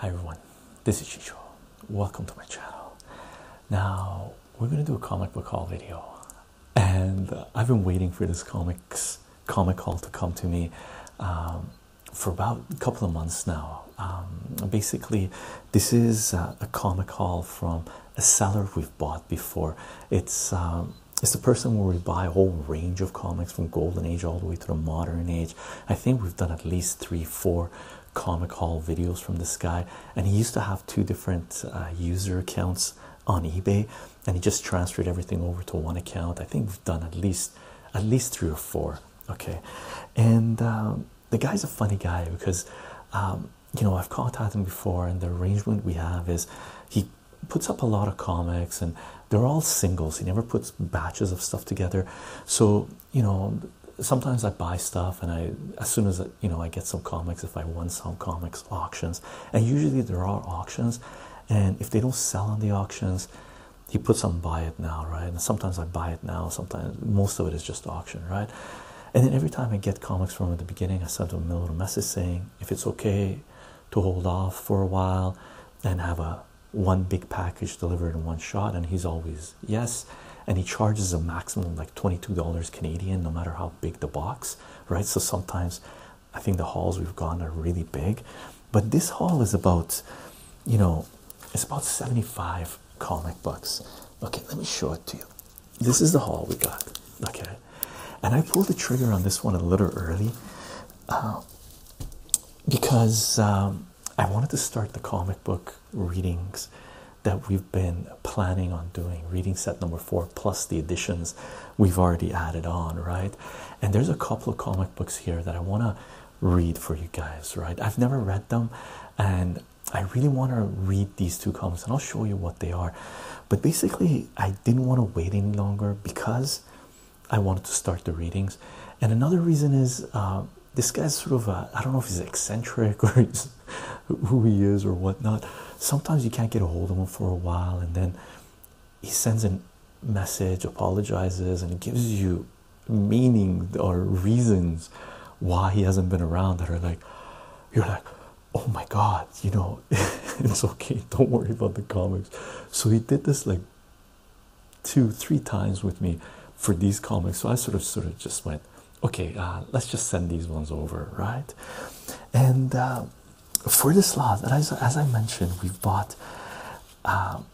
Hi everyone, this is Chicho. Welcome to my channel. Now, we're going to do a comic book haul video. And I've been waiting for this comics comic haul to come to me um, for about a couple of months now. Um, basically, this is uh, a comic haul from a seller we've bought before. It's um, it's the person where we buy a whole range of comics from Golden Age all the way to the modern age. I think we've done at least three, four comic haul videos from this guy, and he used to have two different uh, user accounts on eBay, and he just transferred everything over to one account. I think we've done at least at least three or four. Okay, and um, the guy's a funny guy because um, you know, I've caught at him before, and the arrangement we have is he puts up a lot of comics, and they're all singles. He never puts batches of stuff together. So, you know, sometimes I buy stuff, and I, as soon as, you know, I get some comics, if I won some comics auctions, and usually there are auctions, and if they don't sell on the auctions, he puts on buy it now, right? And sometimes I buy it now, sometimes most of it is just auction, right? And then every time I get comics from at the beginning, I send him a little message saying if it's okay to hold off for a while and have a one big package delivered in one shot. And he's always yes. And he charges a maximum like $22 Canadian, no matter how big the box, right? So sometimes I think the hauls we've gone are really big. But this haul is about, you know, it's about 75 comic books. Okay, let me show it to you this is the haul we got. Okay, and I pulled the trigger on this one a little early um, because um, I wanted to start the comic book readings that we've been planning on doing reading set number four plus the additions we've already added on right and there's a couple of comic books here that i want to read for you guys right i've never read them and I really want to read these two columns, and I'll show you what they are. But basically, I didn't want to wait any longer because I wanted to start the readings. And another reason is uh, this guy's sort of i I don't know if he's eccentric or who he is or whatnot. Sometimes you can't get a hold of him for a while, and then he sends a message, apologizes, and gives you meaning or reasons why he hasn't been around that are like, you're like, oh my god you know it's okay don't worry about the comics so he did this like two three times with me for these comics so i sort of sort of just went okay uh, let's just send these ones over right and uh, for this lot as, i mentioned we've bought um,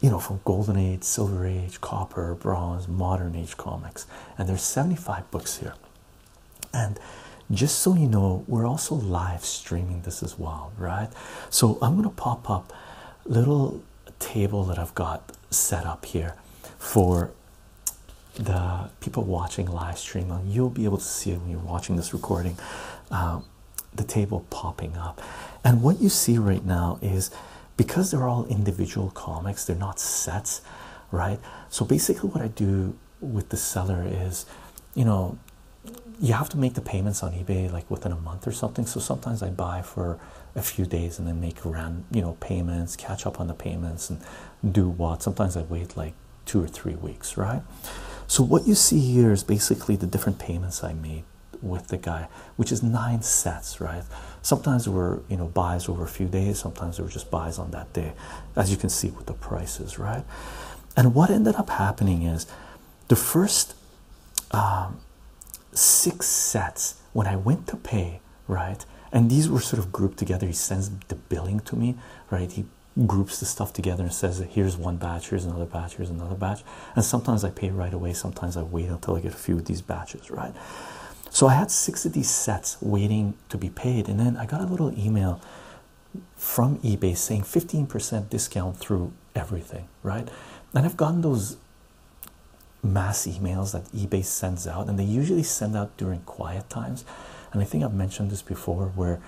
you know from golden age silver age copper bronze modern age comics and there's 75 books here and just so you know, we're also live streaming this as well, right? So I'm going to pop up little table that I've got set up here for the people watching live streaming. You'll be able to see it when you're watching this recording. Uh, the table popping up, and what you see right now is because they're all individual comics, they're not sets, right? So basically, what I do with the seller is you know you have to make the payments on ebay like within a month or something so sometimes i buy for a few days and then make around you know payments catch up on the payments and do what sometimes i wait like two or three weeks right so what you see here is basically the different payments i made with the guy which is nine sets right sometimes were you know buys over a few days sometimes were just buys on that that as you can see with the prices, right? And what ended up happening is the first um, six sets when I went to pay, right? And these were sort of grouped together. He sends the billing to me, right? He groups the stuff together and says, here's one batch, here's another batch, here's another batch. And sometimes I pay right away, sometimes I wait until I get a few of these batches, right? So I had six of these sets waiting to be paid and then i got a little email from ebay saying 15% discount through everything right and i've gotten those mass emails that ebay sends out and they usually send out during quiet times and i think i've mentioned this before where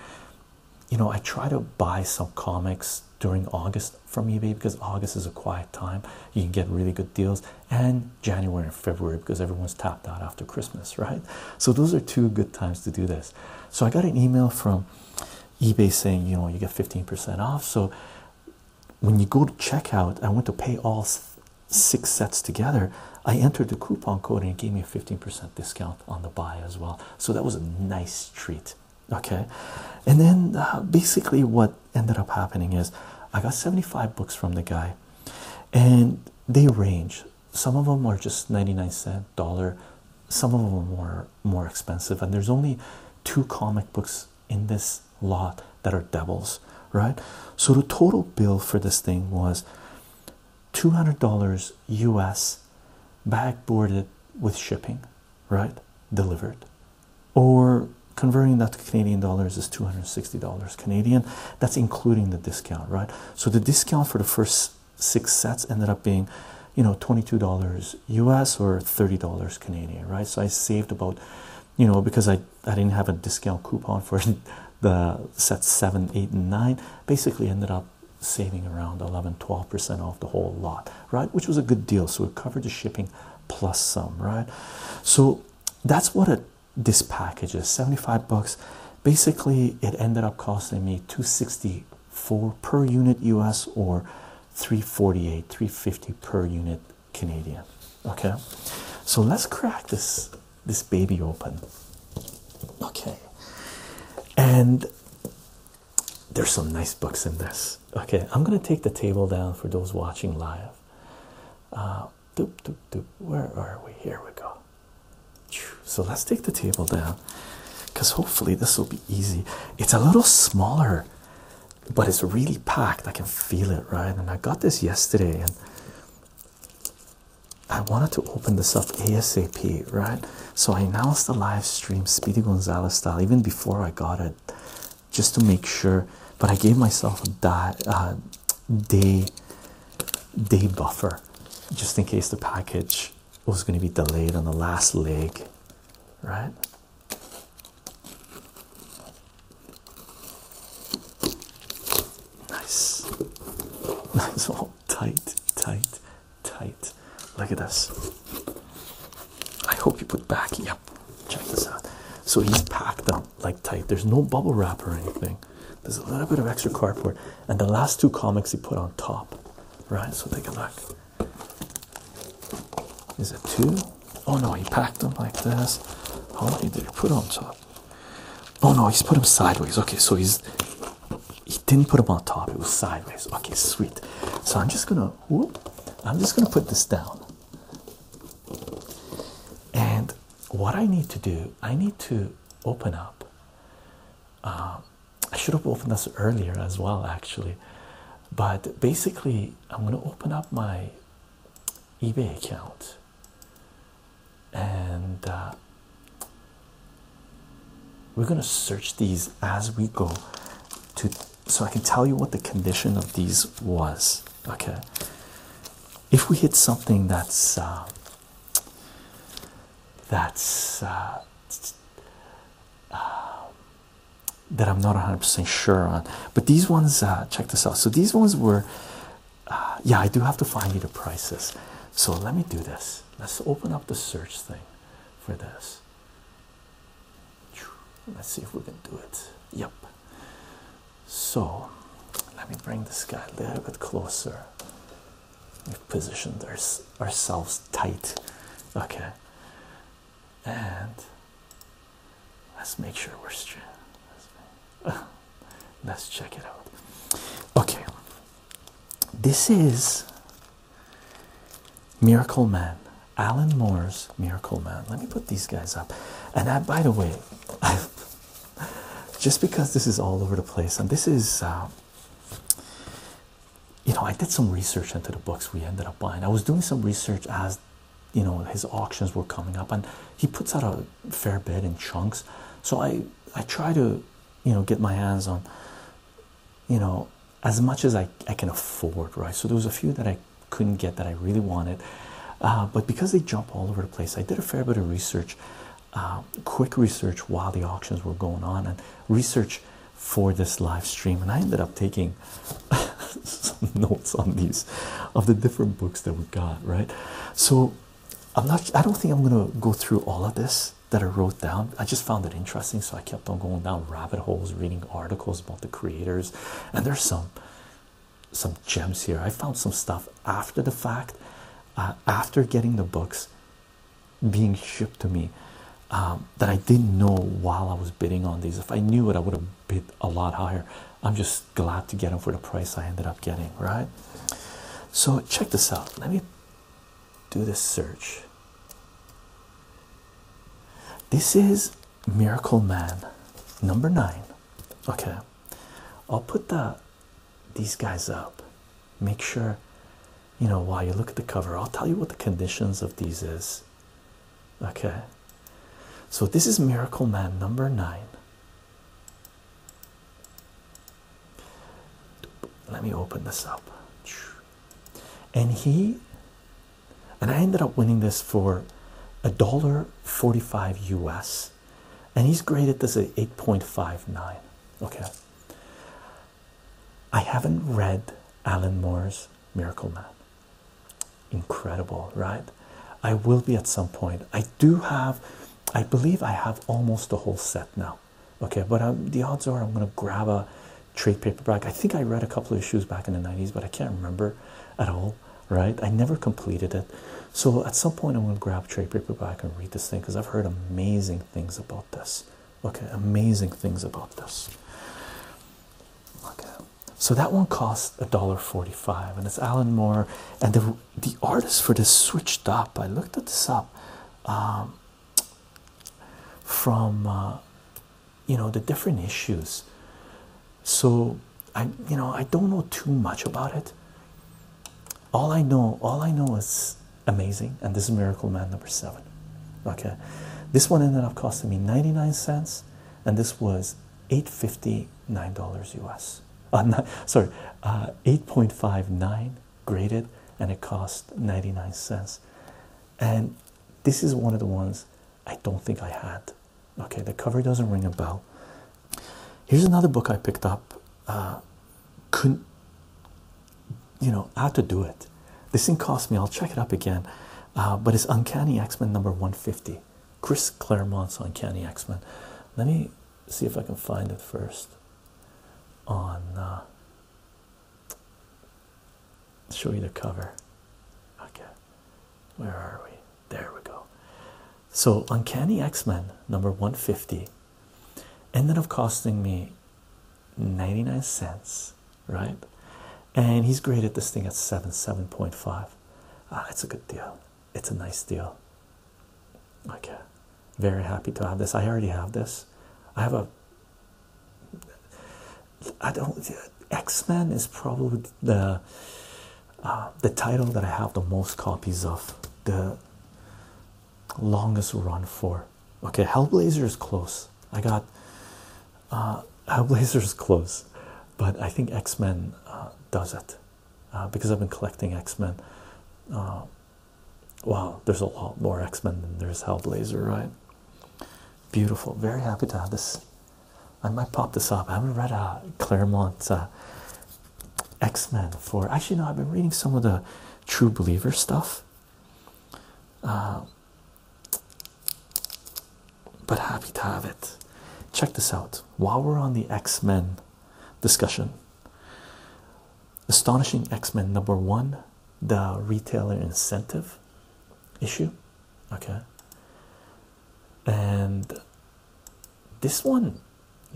you know i try to buy some comics during august from ebay because august is a quiet time you can get really good deals and january February because everyone's tapped out after Christmas, right? So those are two good times to do this. So I got an email from eBay saying, you know, you get 15% off. So when you go to checkout, I went to pay all six sets together. I entered the coupon code and it gave me a 15% discount on the buy as well. So that was a nice treat. Okay. And then uh, basically, what ended up happening is I got 75 books from the guy, and they range some of them are just 99 cent dollar some of them are more expensive and there's only two comic books in this lot that are devils right so the total bill for this thing was $200 us backboarded with shipping right delivered or converting that to canadian dollars is $260 canadian that's including the discount right so the discount for the first six sets ended up being, you know, $22 US or $30 Canadian, right? So I saved about, you know, because I, I didn't have a discount coupon for the sets seven, eight, and nine, basically ended up saving around 11, 12% off the whole lot, right? Which was a good deal. So it covered the shipping plus some, right? So that's what it this package is 75 bucks basically it ended up costing me 264 per unit us or 348 350 per unit canadian okay so let's crack this this baby open okay and there's some nice books in this okay i'm going to take the table down for those watching live uh, doop, doop, doop. Where are we? Here we go. So let's take the table down because hopefully this will be easy. It's a little smaller, but it's really packed. I can feel it, right? And I got this yesterday and I wanted to open this up ASAP, right? So I announced the live stream Speedy Gonzalez style even before I got it just to make sure. But I gave myself a uh, day day buffer just in case the package was going to be delayed on the last leg, right? Nice, nice, all oh, tight, tight, tight. Look at this. I hope you put back. Yep, check this out. So he's packed up like tight. There's no bubble wrap or anything. There's a little bit of extra cardboard, and the last two comics he put on top, right? So take a look. Is it two? Oh no, he packed them like this. How many did he put on top? Oh no, he's put them sideways. Okay, so he's he didn't put them on top. It was sideways. Okay, sweet. So I'm just gonna I'm just gonna put this down. And what I need to do, I need to open up uh, I should have opened this earlier as well, actually. But basically, I'm going to open up my eBay account and uh, we're going to search these as we go to so I can tell you what the condition of these was. Okay, if we hit something that's uh, that's uh, um, that I'm not 100% sure on. But these ones, uh, check this out. So these ones were, uh, yeah, I do have to find you the prices. So let me do this. Let's open up the search thing for this. Let's see if we can do it. Yep. So let me bring this guy a little bit closer. We've positioned our, ourselves tight. Okay. And let's make sure we're straight. Let's check it out. Okay. This is Miracle Man. Alan Moore's Miracle Man. Let me put these guys up. And that, by the way, just because this is all over the place, and this is uh, you know, I did some research into the books we ended up buying. I was doing some research as you know his auctions were coming up, and he puts out a fair bit in chunks. So I I try to you know get my hands on you know as much as I I can afford, right? So there was a few that I couldn't get that I really wanted, uh, but because they jump all over the place, I did a fair bit of research um, quick research while the auctions were going on and research for this live stream. And I ended up taking some notes on these of the different books that we got, right? So I'm not, I don't think I'm going to go through all of this that I wrote down. I just found it interesting, so I kept on going down rabbit holes, reading articles about the creators. And there's some some gems here. I found some stuff after the fact, uh, after getting the books, being shipped to me um, that I didn't know while I was bidding on these. If I knew it, I would have bid a lot higher. I'm just glad to get them for the price I ended up getting, right? So, check this out. Let me do this search. This is Miracle Man number nine. Okay, I'll put that these guys up. Make sure you know while you look at the cover, I'll tell you what the conditions of these is. Okay, so this is Miracle Man number nine. Let me open this up. And he and I ended up winning this for a dollar 45 US, and he's graded this at 8.59. Okay, I haven't read Alan Moore's Miracle Man. Incredible, right? I will be at some point. I do have, I believe I have almost the whole set now. Okay, but um, the odds are I'm going to grab a trade paperback. I think I read a couple of issues back in the 90s, but I can't remember at all, right? I never completed it. So at some point, I'm going to grab trade paperback and read this thing because I've heard amazing things about about this. Okay, amazing things about this. Okay, so that one cost a dollar forty-five, and it's Alan Moore. And the the artist for this switched up. I looked at this up um, from uh, you know the different issues. So I you know I don't know too much about it. All I know, all I know is amazing and this is miracle man number seven okay this one ended up costing me 99 cents and this was 859 dollars us uh, sorry uh, 8.59 graded and it cost 99 cents and this is one of the ones i don't think i had okay the cover doesn't ring a bell here's another book i picked up uh, couldn't you know I had to do it. This thing cost me. I'll check it up again, uh, but it's Uncanny X Men number one fifty. Chris Claremont's Uncanny X Men. Let me see if I can find it first. On uh, show you the cover. Okay, where are we? There we go. So Uncanny X Men number one fifty ended up costing me 99 cents right and he's graded this thing at 7 7.5 ah it's a good deal it's a nice deal okay very happy to have this i already have this i have a i don't x-men is probably the uh, the title that i have the most copies of the longest run for. Okay, Hellblazer is close. I got uh, Hellblazer is close, but I think X Men uh, does it uh, because I've been collecting X Men. Uh, wow, there's a lot more X Men than there's Hellblazer, right? Beautiful. Very happy to have this. I might pop this up. I haven't read a Claremont X Men for actually. No, I've been reading some of the True Believer stuff. Uh, but happy to have it. Check this out while we're on the X Men discussion. Astonishing X Men number one, the retailer incentive issue. Okay. And this one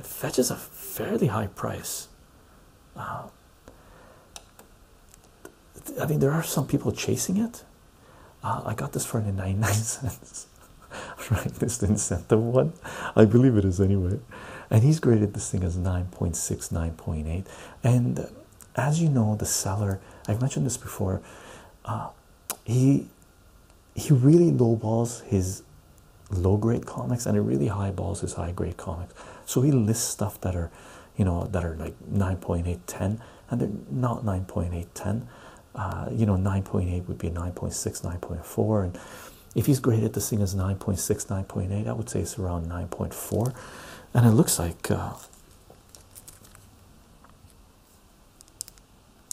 fetches a fairly high price. Wow. Uh, I mean, there are some people chasing it. Uh, I got this for nine cents, right? This incentive one, I believe it is anyway. And he's graded this thing as 9.6, 9.8. And as you know, the seller, I've mentioned this before, uh, he he really lowballs his low grade comics and it really highballs his high grade comics. So he lists stuff that are, you know, that are like nine point eight ten, and they're not nine point eight ten. Uh, you know, 9.8 would be 9.6, 9.4. And if he's graded the thing as 9.6, 9.8, I would say it's around 9.4. And it looks like uh,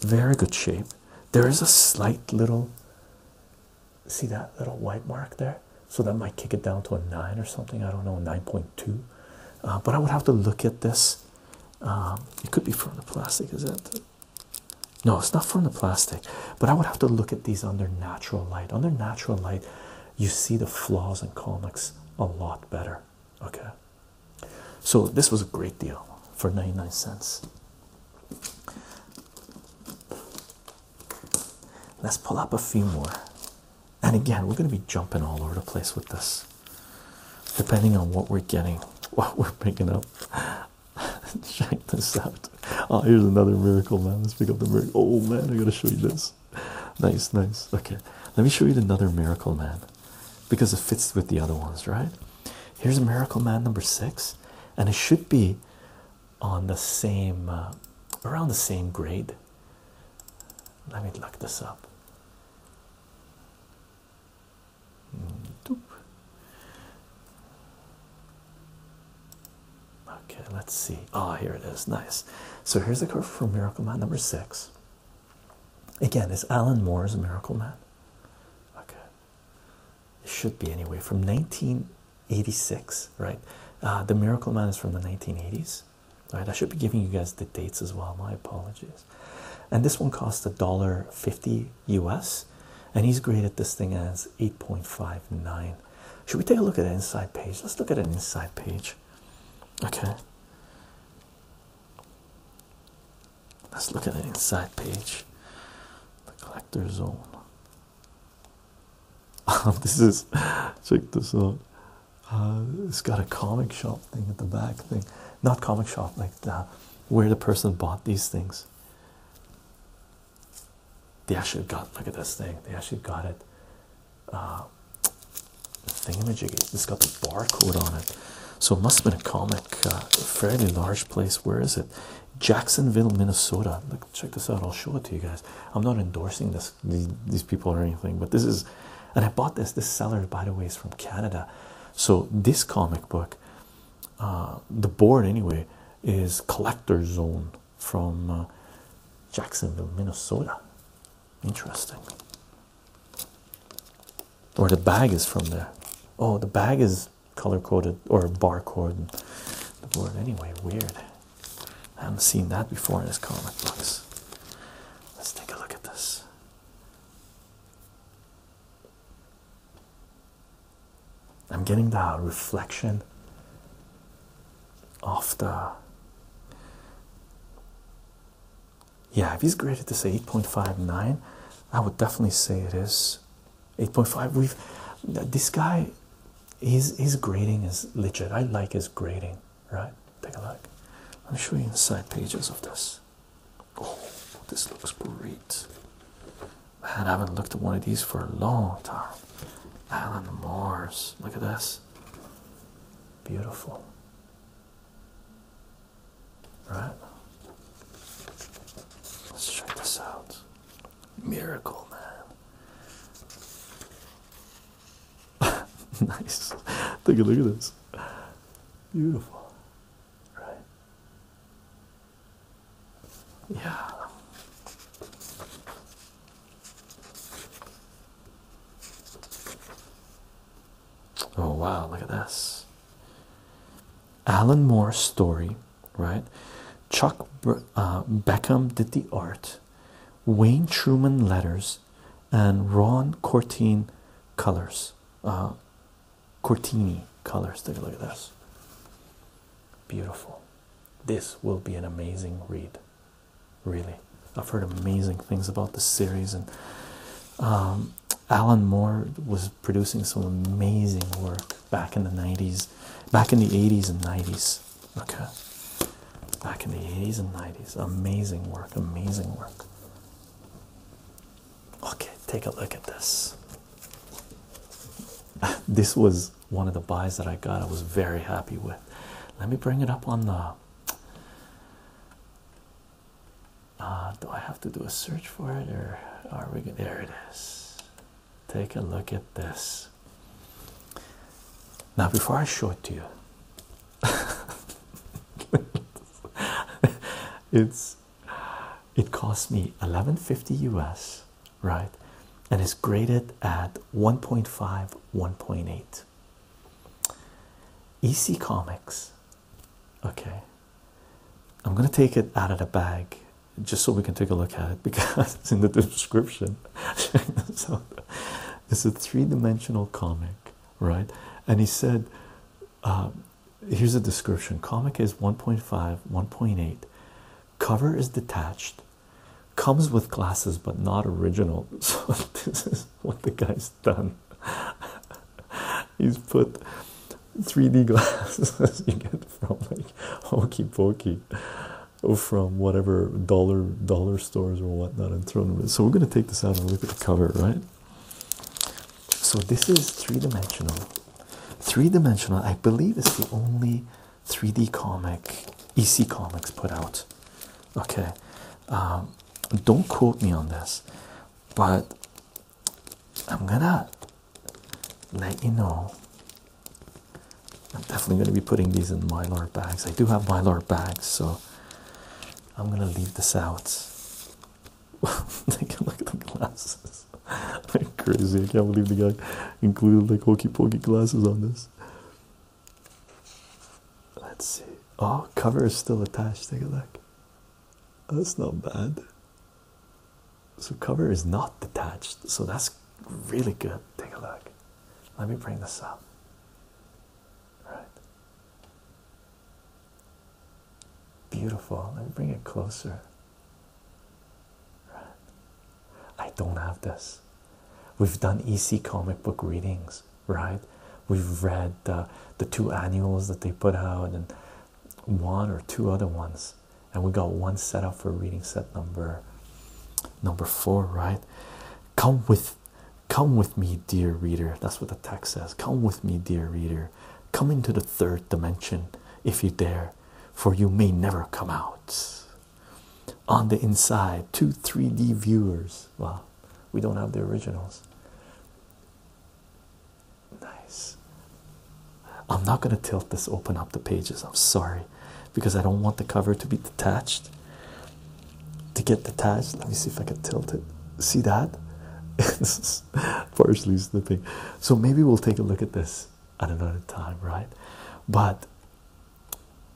very good shape. There is a slight little see that little white mark there so that might kick it down to a 9 or something i don't know 9.2 uh, but i would have to look at this um, it could be from the plastic is it no it's not from the plastic but i would have to look at these under natural light under natural light you see the flaws in comics a lot better okay so this was a great deal for 99 cents Let's pull up a few more. And again, we're going to be jumping all over the place with this, depending on what we're getting, what we're picking up. Check this out. Oh, here's another miracle, man. Let's pick up the miracle. Oh, man, I got to show you this. Nice, nice. Okay, let me show you another miracle, man, because it fits with the other ones, right? Here's a miracle, man, number six, and it should be on the same uh, around the same grade. Let me look this up. Okay, let's see. Ah, oh, here it is. Nice. So here's the cover for Miracle Man number six. Again, is Alan Moore's Miracle Man? Okay. It should be anyway from 19 86 right uh, the miracle man is from the 1980s right i should be giving you guys the dates as well my apologies and this one cost a dollar 50 us and he's graded this thing as 8.59 should we take a look at an inside page let's look at an inside page okay let's look at an inside page the collector zone Um, this is check this out. Uh, it's got a comic shop thing at the back thing, not comic shop like that, where the person bought these things. They actually got look at this thing. They actually got it. Uh, thingamajiggy. It's got the barcode on it, so it must have been a comic. Uh, fairly large place. Where is it? Jacksonville, Minnesota check this out. I'll show it to you guys. I'm not endorsing this these, people or anything, but this is, and I bought this. This seller, by the way, is from Canada. So this comic book, uh, the board anyway, is Collector Zone from uh, Jacksonville, Minnesota. Interesting. Or the bag is from there. Oh, the bag is color coded or bar barcode. The board anyway. Weird. I haven't seen that before in his comic books. Let's take a look at this. I'm getting the reflection of the. Yeah, if he's graded this 8.59, I would definitely say it is 8.5. We've this guy his his grading is legit. I like his grading, right? Take a look. I'm show you inside pages of this. Oh, this looks great. Man, I haven't looked at one of these for a long time. Alan Mars. Look at this. Beautiful. Right? Let's check this out. Miracle, man. nice. Take a look at this. Beautiful. Right. Yeah. Oh wow, look at this. Alan Moore's story, right? Chuck uh, Beckham did the art. Wayne Truman letters, and Ron Cortine colors. Uh, Cortini colors. Take a look at this. Beautiful. This will be an amazing read. Really, I've heard amazing things about this series, and um, Alan Moore was producing some amazing work back in the '90s, back in the '80s and '90s. Okay, back in the 80s and 90s. Amazing work, amazing work. Okay, take a look at this. this was one of the buys that I got, I was very happy with. Let me bring it up on the. Uh, do I have to do a search for it or are we good? There it is. Take a look at this. Now, before I show it to you, it's it cost me 1150 US, right? And it's graded at 1.5, 1.8. EC Comics. Okay. I'm gonna take it out of the bag just so we can take a look at it because it's in the description. It's a three-dimensional comic, right? And he said, um, here's a description. Comic is 1.5, 1.8. Cover is detached. Comes with glasses, but not original. So this is what the guy's done. He's put 3D glasses you get from like Hokey Pokey or from whatever dollar dollar stores or whatnot and throw them in. So we're going to take this out and look at the cover, right? So this is three-dimensional. Three-dimensional, I believe is the only 3D comic EC Comics put out. Okay. Um, don't quote me on this, but I'm gonna let you know I'm definitely going to be putting these in mylar bags. I do have mylar bags, so I'm going to leave this out. Take a look at the glasses. I'm crazy. I can't believe the guy included like hokey pokey glasses on this. Let's see. Oh, cover is still attached. Take a look. Oh, that's not bad. So cover is not detached. So that's really good. Take a look. Let me bring this up. Right. Beautiful. Let me bring it closer. Right. I don't have this. We've done EC comic book readings, right? We've read the two annuals that they put out and one or two other ones, and we got one set up for reading set number number four, right? Come with come with me dear reader that's what the text says come with me dear reader come into the third dimension if you dare for you may never come out on the inside two 3d viewers well we don't have the originals nice i'm not going to tilt this open up the pages i'm sorry because I don't want the cover to be detached. To get detached, let me see if I can tilt it. See that? It's partially slipping. So maybe we'll take a look at this at another time, right? But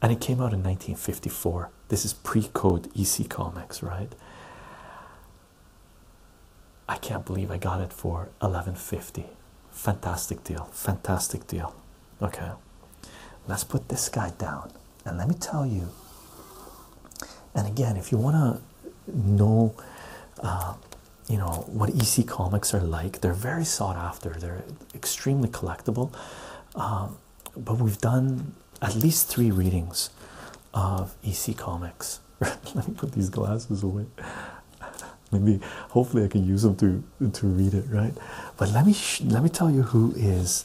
and it came out in 1954. This is pre-code EC Comics, right? I can't believe I got it for 11.50. Fantastic deal. Fantastic deal. Okay, let's put this guy down, and let me tell you. And again, if you want to know, uh, you know what EC comics are like, they're very sought after. They're extremely collectible. Um, but we've done at least three readings of EC comics. Let me put these glasses away. Maybe hopefully I can use them to to read it right. But let me sh let me tell you who is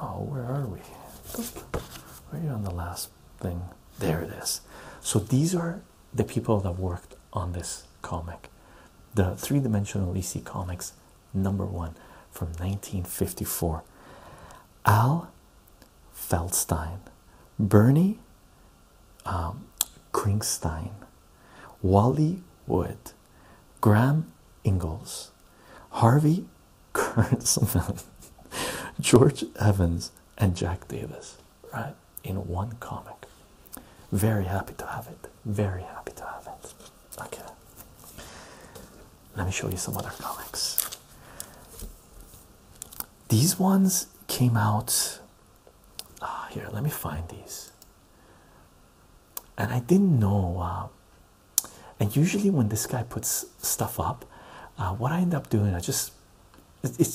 Oh, where are we? Right on the last thing. There it is. So these are the people that worked on this comic, the three-dimensional EC Comics number one from 1954. Al Feldstein, Bernie um, Wally Wood, Graham Ingalls, Harvey Kurtzman, George Evans, and Jack Davis, right, in one comic. Very happy to have it. Very happy to have it. Okay. Let me show you some other comics. These ones came out. Ah, here, let me find these. And I didn't know uh, and usually when this guy puts stuff up uh, what i end up doing i just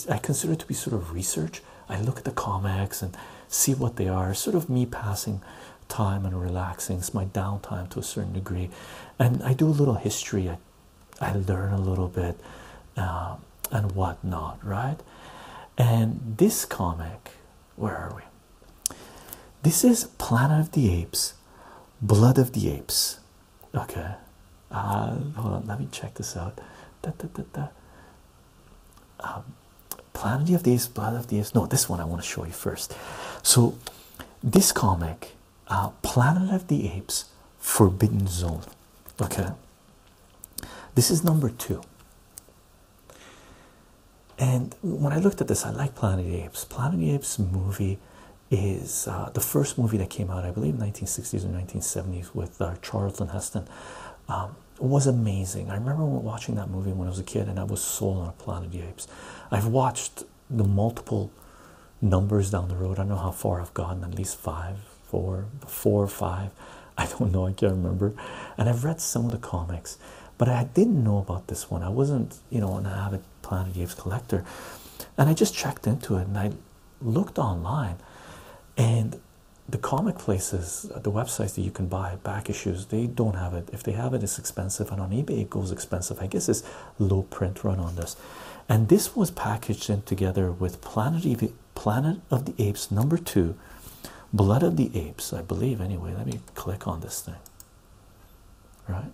i consider it to be sort of research i look at the comics and see what they are sort of me passing time and relaxing it's my downtime to a certain degree and i do a little history i, I learn a little bit um, and whatnot right and this comic where are we this is Planet of the Apes, Blood of the Apes. Okay, uh, hold on, let me check this out. Um, Planet of the Apes, Blood of the Apes. No, this one I want to show you first. So, this comic, uh, Planet of the Apes, Forbidden Zone. Okay, this is number two. And when I looked at this, I like Planet of the Apes. Planet of the Apes movie is uh, the first movie that came out, I believe, 1960s or 1970s, with uh, Charlton Heston. Um, was amazing. I remember watching that movie when I was a kid, and I was sold on a Planet of the Apes. I've watched the multiple numbers down the road. I know how far I've gone. At least five, four, four or five. I don't know. I can't remember. And I've read some of the comics, but I didn't know about this one. I wasn't, you know, an avid Planet of the Apes Collector, and I just checked into it and I looked online, and the comic places, uh, the websites that you can buy back issues, they don't have it. If they have it, it's expensive, and on eBay it goes expensive. I guess it's low print run on this, and this was packaged in together with Planet Ev Planet of the Apes number two, Blood of the Apes, I believe. Anyway, let me click on this thing. Right,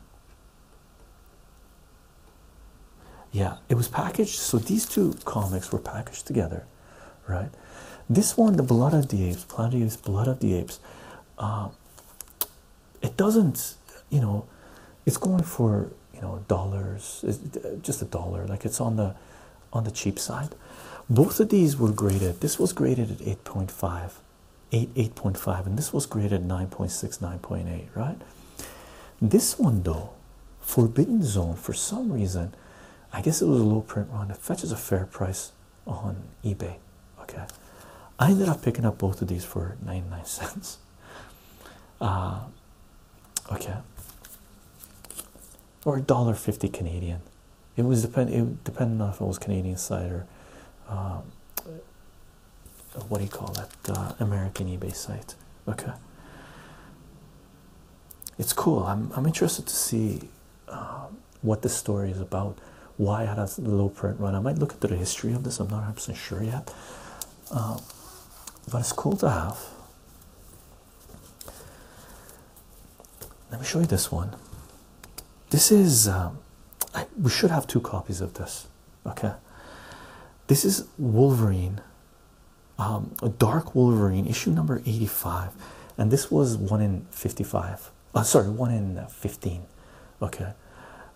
yeah, it was packaged. So these two comics were packaged together, right? This one, The Blood of the Apes, Planet of the Apes, Blood of the Apes, uh, it doesn't, you know, it's going for, you know, dollars, uh, just a dollar, like it's on the on the cheap side. Both of these were graded. This was graded at 8.5 8 8.5 and this was graded 9.6 9.8 right this one though forbidden zone for some reason i guess it was a low print run it fetches a fair price on ebay okay i ended up picking up both of these for nine cents uh, okay or $1.50 canadian it was depend it depended on if it was canadian side or um, uh, what do you call that uh, American eBay site okay it's cool I'm, I'm interested to see uh, what this story is about why it has the low print run I might look into the history of this I'm not absolutely sure yet but it's cool to have let me show you this one this is um, we should have two copies of this Okay, this is Wolverine, a um, Dark Wolverine issue number 85, and this was one in 55. Uh, sorry, one in 15. Okay,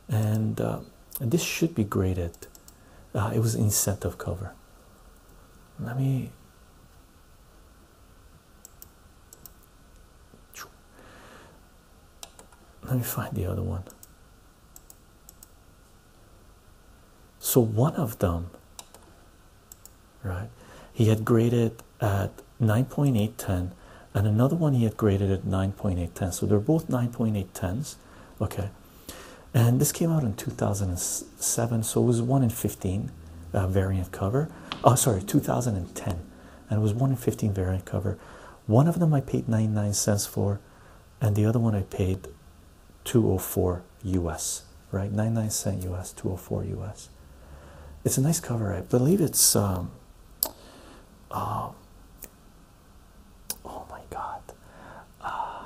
and, uh, this should be graded. Uh, it was incentive cover. Let me let me find the other one. So one of them, right? He had graded at 9.810, and another one he had graded at 9.810. So they're both 9.810s, okay? And this came out in 2007, so it was one in 15 uh, variant cover. Oh, sorry, 2010 and it was 1 in 15 variant cover. One of them I paid 99 cents for, and the other one I paid 204 US, right? 99 cent US, 204 US. It's a nice cover, I believe it's um, um oh my god, uh,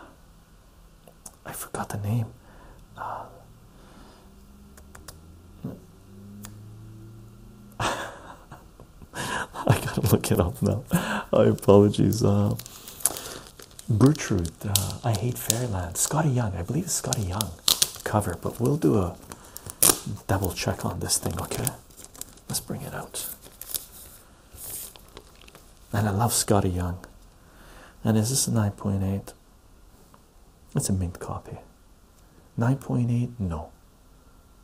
I forgot the name. Uh, I gotta look it up now. I apologies. Uh, Gertrude, uh, I hate Fairyland. Scotty Young, I believe it's Scotty Young cover, but we'll do a double check on this thing, okay? Let's bring it out. And I love Scotty Young. And is this a 9.8? It's a mint copy. 9.8? No.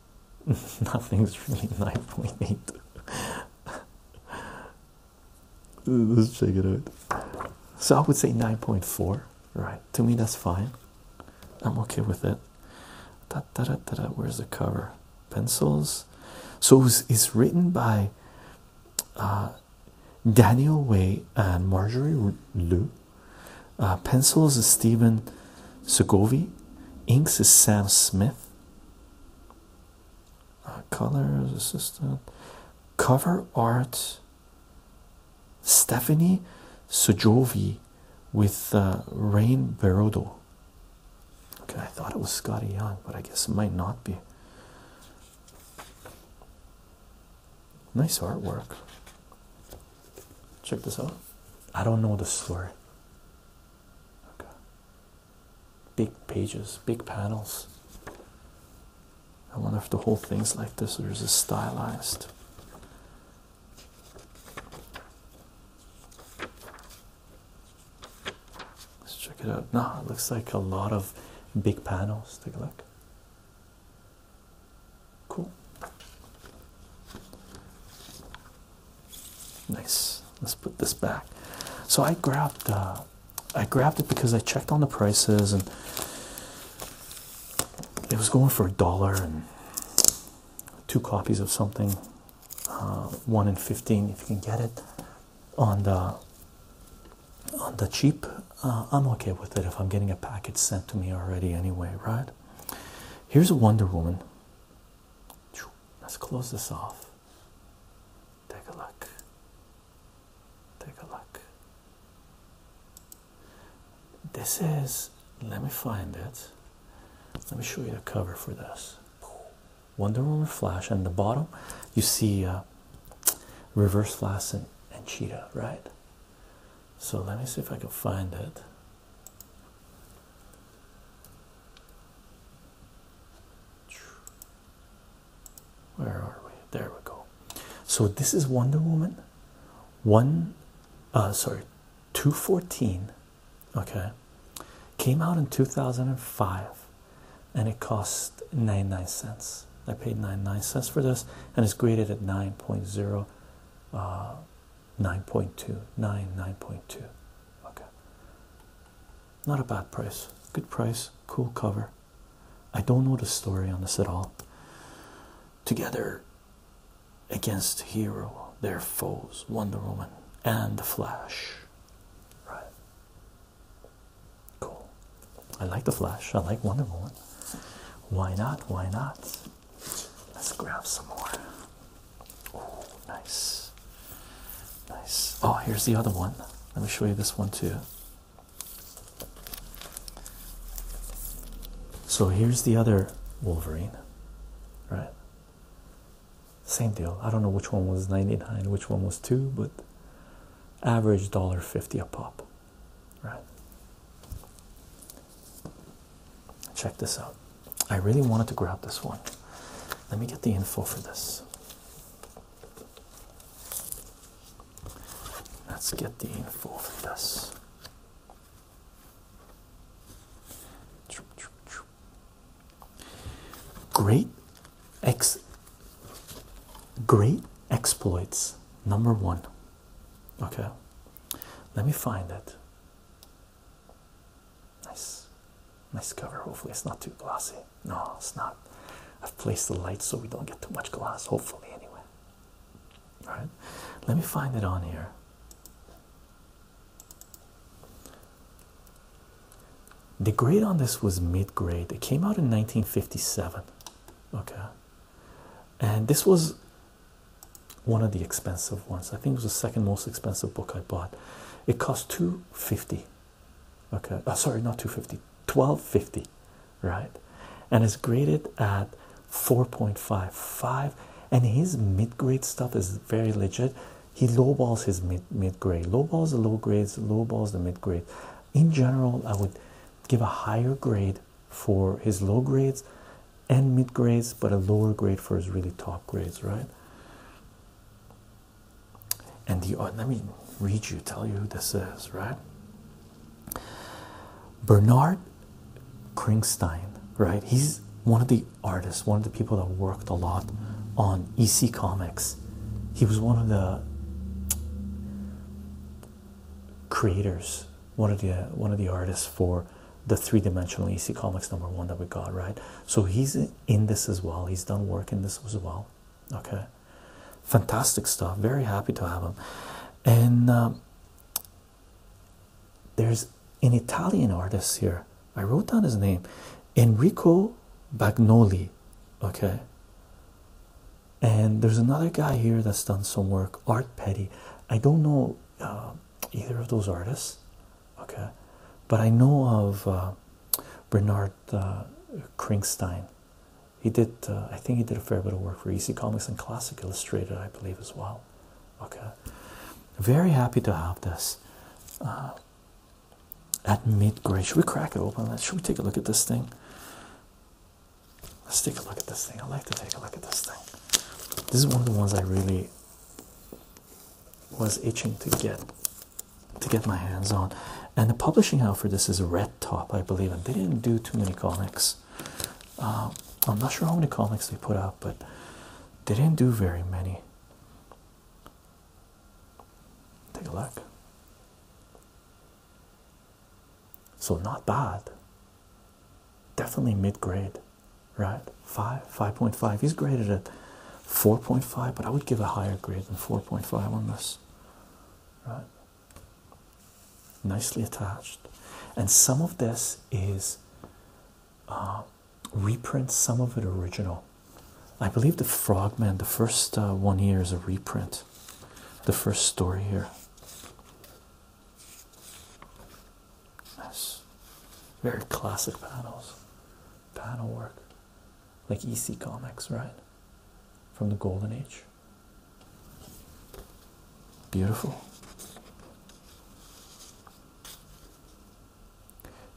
Nothing's really 9.8. Let's check it out. So I would say 9.4, right? To me, that's fine. I'm okay with it. Da, da, da, Where's the cover? Pencils. So it's, written by uh, Daniel Way and Marjorie Liu. Uh, pencils is Stephen Segovi. Inks is Sam Smith. Uh, colors assistant. Cover art. Stephanie Sojovi with uh, Rain Barodo. Okay, I thought it was Scotty Young, but I guess it might not be. Nice artwork. Check this out. I don't know the story. Okay. Big pages, big panels. I wonder if the whole thing's like this or is it stylized? Let's check it out. Nah, it looks like a lot of big panels. Take a look. Cool. Nice. Let's put this back. So I grabbed uh, I grabbed it because I checked on the prices and it was going for a dollar and two copies of something. Uh, one in fifteen if you can get it on the on the cheap. Uh, I'm okay with it if I'm getting a package sent to me already anyway, right? Here's a Wonder Woman. Let's close this off. Take a look. Take a look. This is, let me find it. Let me show you the cover for this Wonder Woman Flash, and the bottom you see uh, Reverse Flash and, and Cheetah, right? So let me see if I can find it. Where are we? There we go. So this is Wonder Woman. One, uh, sorry, 214. Okay, came out in 2005 and it cost nine nine cents. I paid nine nine cents for this and it's graded at nine point zero. Uh, Nine point two, nine nine point two, okay not a bad price good price cool cover i don't know the story on this at all together against hero their foes wonder woman and the flash right cool i like the flash i like wonder woman why not why not let's grab some more Oh, nice, nice. Oh, here's the other one. Let me show you this one too. So here's the other Wolverine, right? Same deal. I don't know which one was 99, which one was 2, but average dollar fifty a pop, right? Check this out. I really wanted to grab this one. Let me get the info for this. Let's get the info for this. Great ex great exploits number one. Okay. Let me find it. Nice, nice cover. Hopefully, it's not too glossy. No, it's not. I've placed the light so we don't get too much glass. Hopefully, anyway. All right, let me find it on here. The grade on this was mid grade, it came out in 1957. Okay, and this was one of the expensive ones. I think it was the second most expensive book I bought. It cost two fifty. Okay, oh, sorry, not two fifty. Twelve fifty, right? And it's graded at four point five five. And his mid grade stuff is very legit. He lowballs his mid mid grade, lowballs the low grades, lowballs the mid grade. In general, I would give a higher grade for his low grades and mid grades, but a lower grade for his really top grades, right? And the let me read you, tell you who this is, right? Bernard Kringstein, right? He's one of the artists, one of the people that worked a lot on EC Comics. He was one of the creators, one of the one of the artists for the three-dimensional EC Comics number one that we got, right? So he's in this as well. He's done work in this as well. Okay, fantastic stuff. Very happy to have him. And um, there's an Italian artist here. I wrote down his name, Enrico Bagnoli. Okay. And there's another guy here that's done some work, Art Petty. I don't know uh, either of those artists okay but i know of uh, bernard uh, kringstein he did uh, i think he did a fair bit of work for ec comics and classic illustrated i believe as well okay very happy to have this uh, at mid-grade should we crack it open should we take a look at this thing let's take a look at this thing i like to take a look at this thing this is one of the ones i really was itching to get to get my hands on and the publishing house for this is red top i believe and they didn't do too many comics uh, i'm not sure how many comics they put out but they didn't do very many take a look so not bad definitely mid-grade right? Five, 5.5. He's graded at 4.5, but I would give a higher grade than 4.5 on this, right? Nicely attached, and some of this is uh, reprint, some of it original. I believe the Frogman, the first uh, one here, is a reprint. The first story here. Yes, very classic panels panel work like EC Comics, right? From the Golden Age. Beautiful.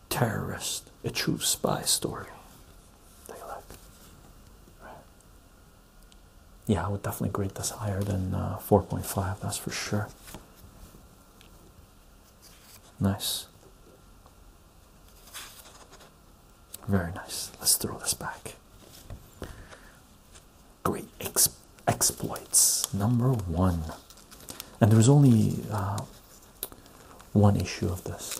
Terrorist, a true spy story. Take a Yeah, I would definitely grade this higher than uh, 4.5, that's for sure. Nice. Very nice. Let's throw this back. Great exploits number one, and there was only uh, one issue of this.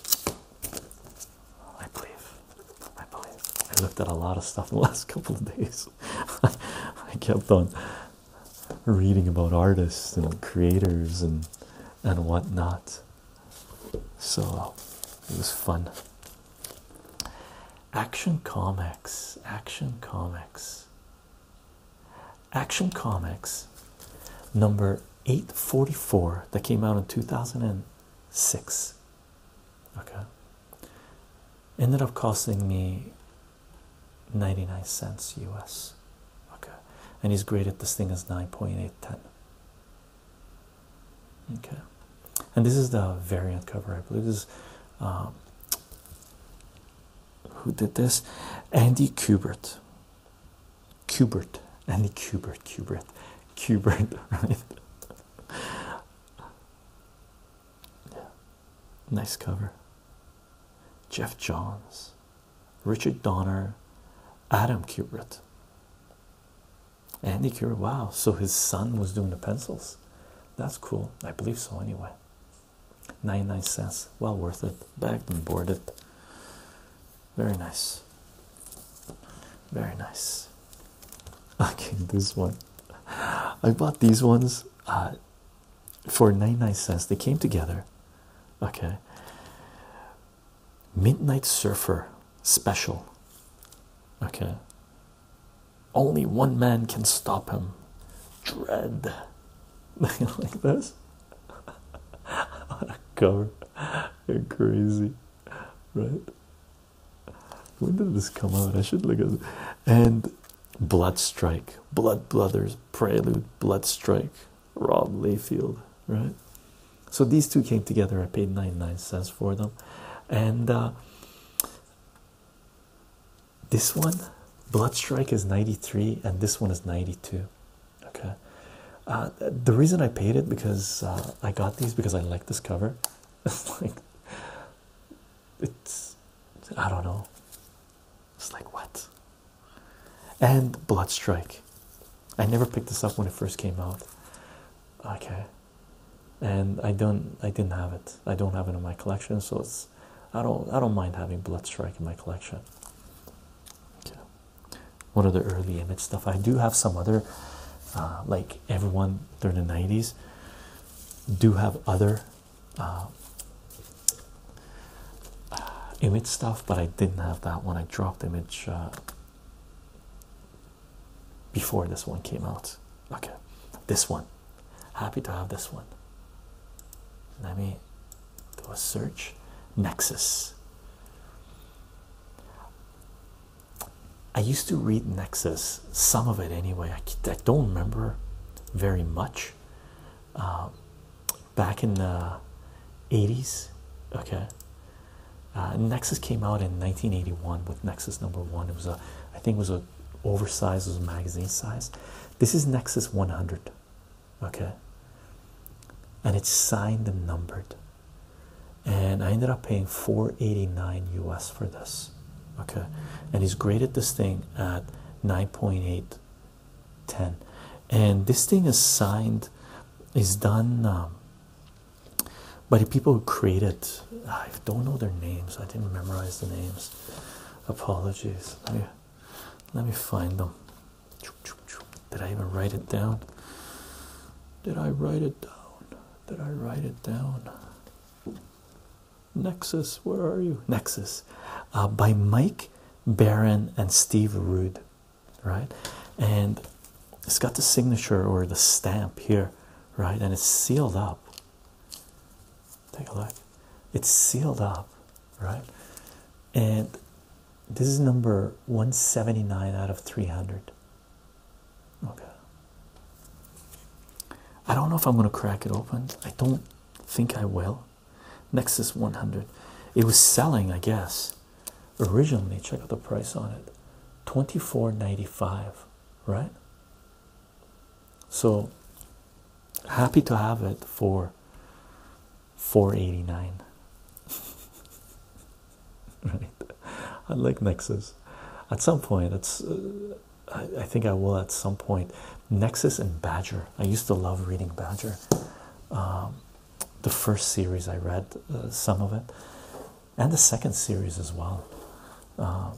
I believe. I believe. I looked at a lot of stuff in the last couple of days. I kept on reading about artists and creators and and whatnot. So it was fun. Action Comics, Action Comics, Action Comics, number eight forty four that came out in two thousand and six. Okay. Ended up costing me 99 cents US. Okay, and he's graded this thing as 9.810. Okay, and this is the variant cover, I believe. This is um, who did this? Andy Kubert. Kubert, Andy Kubert, Kubert, Kubert, Yeah. Nice cover. Jeff Johns. Richard Donner, Adam Kubert, Andy Kubert. Wow, so his son was doing the pencils. That's cool. I believe so anyway. 99 cents. Well worth it. Bagged and boarded. Very nice. Very nice. Okay, this one. I bought these ones uh, for 99 cents. They came together. Okay. Midnight Surfer special. Okay. Only one man can stop him. Dread. like this. On a cover. You're crazy. Right? When did this come out? I should look at it. And Blood Strike. Blood Brothers. Prelude. Blood Strike. Rob Layfield, right? So these two came together. I paid 99 cents for them. And uh, this one, Blood Strike, is 93, and this one is 92. Okay. Uh, the reason I paid it because uh, I got these because I like this cover. It's like, it's, I don't know. It's like, what? and Blood Strike. I never picked this up when it first came out. Okay, and I don't, I didn't have it. I don't have it in my collection, so it's, I don't, I don't mind having Blood Strike in my collection. Okay. One of the early image stuff. I do have some other, uh, like everyone during the '90s, do have other uh, uh, image stuff, but I didn't have that one. I dropped image uh, before this one came out. Okay, this one. Happy to have this one. Let me do a search. Nexus. I used to read Nexus, some of it anyway. I, I don't remember very much. Uh, back in the 80s. Okay, uh, Nexus came out in 1981 with Nexus number one. It was a, I think, it was a oversized, was a magazine size. This is Nexus 100. Okay, and it's signed and numbered. And I ended up paying 489 US for this. Okay, and he's graded this thing at 9.8 10 and this thing is signed is done um, by the people who created i don't know their names i didn't memorize the names apologies let me, find them did i even write it down did i write it down did i write it down nexus where are you nexus uh, by mike barron and steve rude right? And it's got the signature or the stamp here, right? And it's sealed up. Take a look. It's sealed up, right? And this is number 179 out of 300. Okay. I don't know if I'm going to crack it open. I don't think I will. Nexus 100. It was selling, I guess, originally. Check out the price on it 24.95, right? So happy to have it for 489. right? I like Nexus. At some point, it's. Uh, I, think I will at some point. Nexus and Badger. I used to love reading Badger. Um, the first series I read, uh, some of it, and the second series as well. Uh,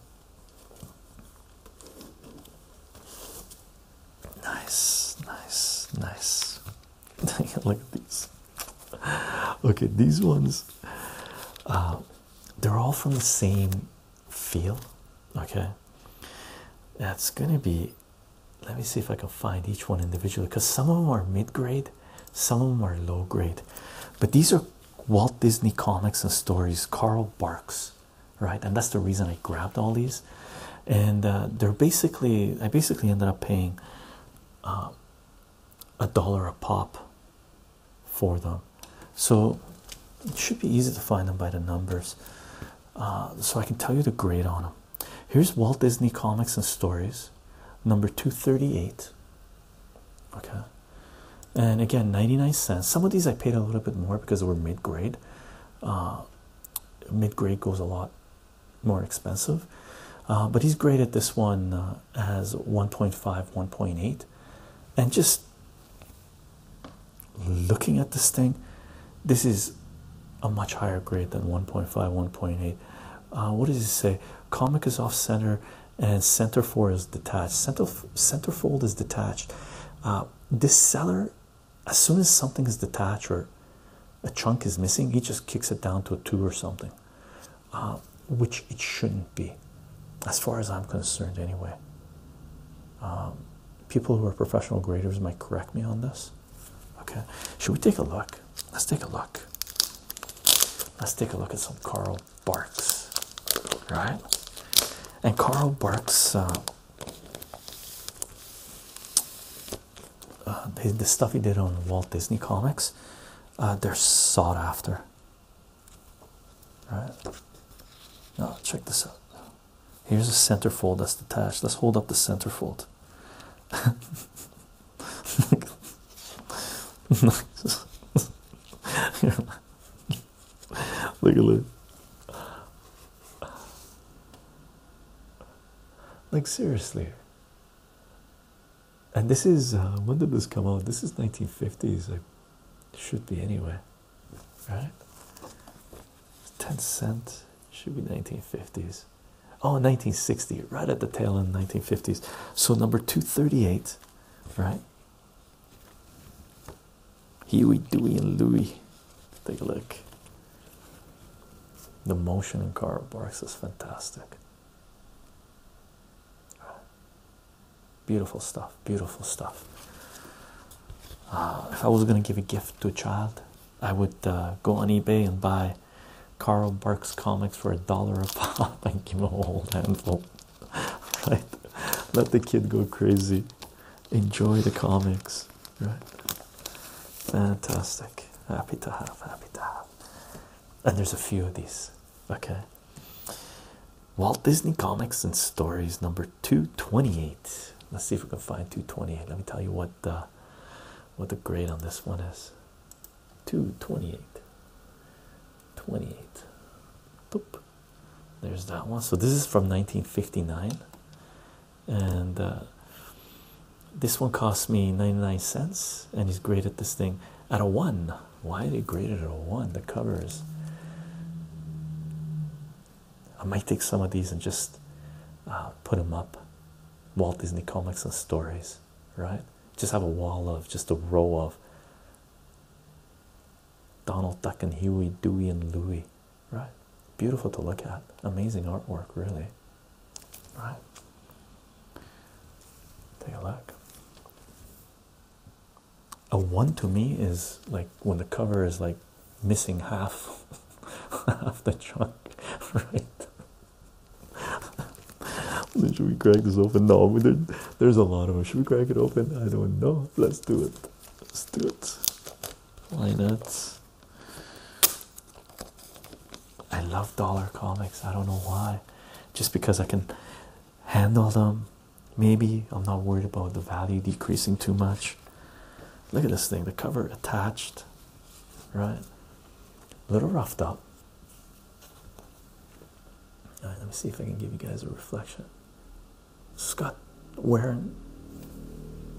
nice, nice, nice. Look at these. Okay, these ones, uh, they're all from the same feel. Okay, that's gonna be let me see if I can find each one individually because some of them are mid grade, some of them are low grade. But these are Walt Disney comics and stories, Carl Barks, right? And that's the reason I grabbed all these. And uh, they're basically, I basically ended up paying uh, a dollar a pop for them. So it should be easy to find them by the numbers. Uh, so I can tell you the grade on them. Here's Walt Disney Comics and Stories, number 238. Okay, and again, 99 cents. Some of these I paid a little bit more because they were mid grade. Uh, mid grade goes a lot more expensive, uh, but he's graded this one uh, as 1.5, 1.8. And just looking at this thing, this is a much higher grade than 1.5, 1.8. Uh, what does he say? Comic is off center and center four is detached. Center centerfold is detached. Uh, this seller, as soon as something is detached or a chunk is missing, he just kicks it down to a two or something, uh, which it shouldn't be, as far as I'm concerned, anyway. Um, people who are professional graders might correct me on this. Okay, should we take a look? Let's take a look. Let's take a look at some Carl Barks, right? And Carl Barks, uh, uh, the, stuff he did on Walt Disney comics, uh, they're sought after. Right? Now, check this out. Here's a centerfold that's detached. Let's hold up the centerfold. Look at this! Like seriously. And this is uh, when did this come out? This is 1950s. it should be anyway, right? 10 cent should be 1950s. Oh, 1960, right at the tail end, 1950s. So number 238, right? Huey, Dewey, and Louie. Take a look. The motion in Carl Barks is fantastic. Beautiful stuff, beautiful stuff. Uh, if I was going to give a gift to a child, I would uh, go on eBay and buy Carl Barks comics for a dollar a pop and give him a whole handful. Let the kid go crazy. Enjoy the comics. Right? Fantastic. Happy to have, happy to have. And there's a few of these. Okay. Walt Disney Comics and Stories number 228. Let's see if we can find 228. Let me tell you what the uh, what the grade on this one is two, 28, Boop. There's that one. So this is from 1959, and uh, this one cost me 99 cents. And he's graded this thing at a one. Why they graded it at a one? The cover is. I might take some of these and just uh, put them up Walt Disney comics and stories, right? Just have a wall of just a row of Donald Duck and Huey, Dewey, and Louie, right? Beautiful to look at, amazing artwork, really. Right, take a look. A one to me is like when the cover is like missing half, of the chunk, right? Should we crack this open? No, there's a lot of them. Should we crack it open? I don't know. Let's do it. Let's do it. Why not? I love dollar comics. I don't know why. Just because I can handle them. Maybe I'm not worried about the value decreasing too much. Look at this thing, the cover attached, right? a little roughed up. let me see if I can give you guys a reflection. it got wear and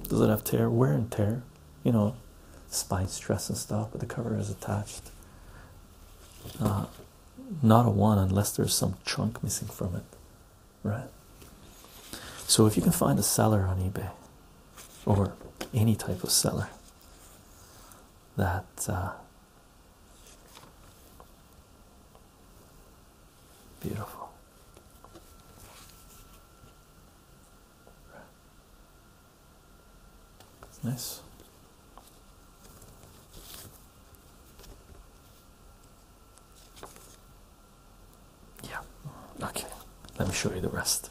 does it have tear? Wear and tear, you know, spine stress and stuff. But the cover is attached. Uh, not a one unless there's some chunk missing from it, right? So if you can find a seller on eBay or any type of seller that's uh, beautiful nice yeah okay let me show you the rest.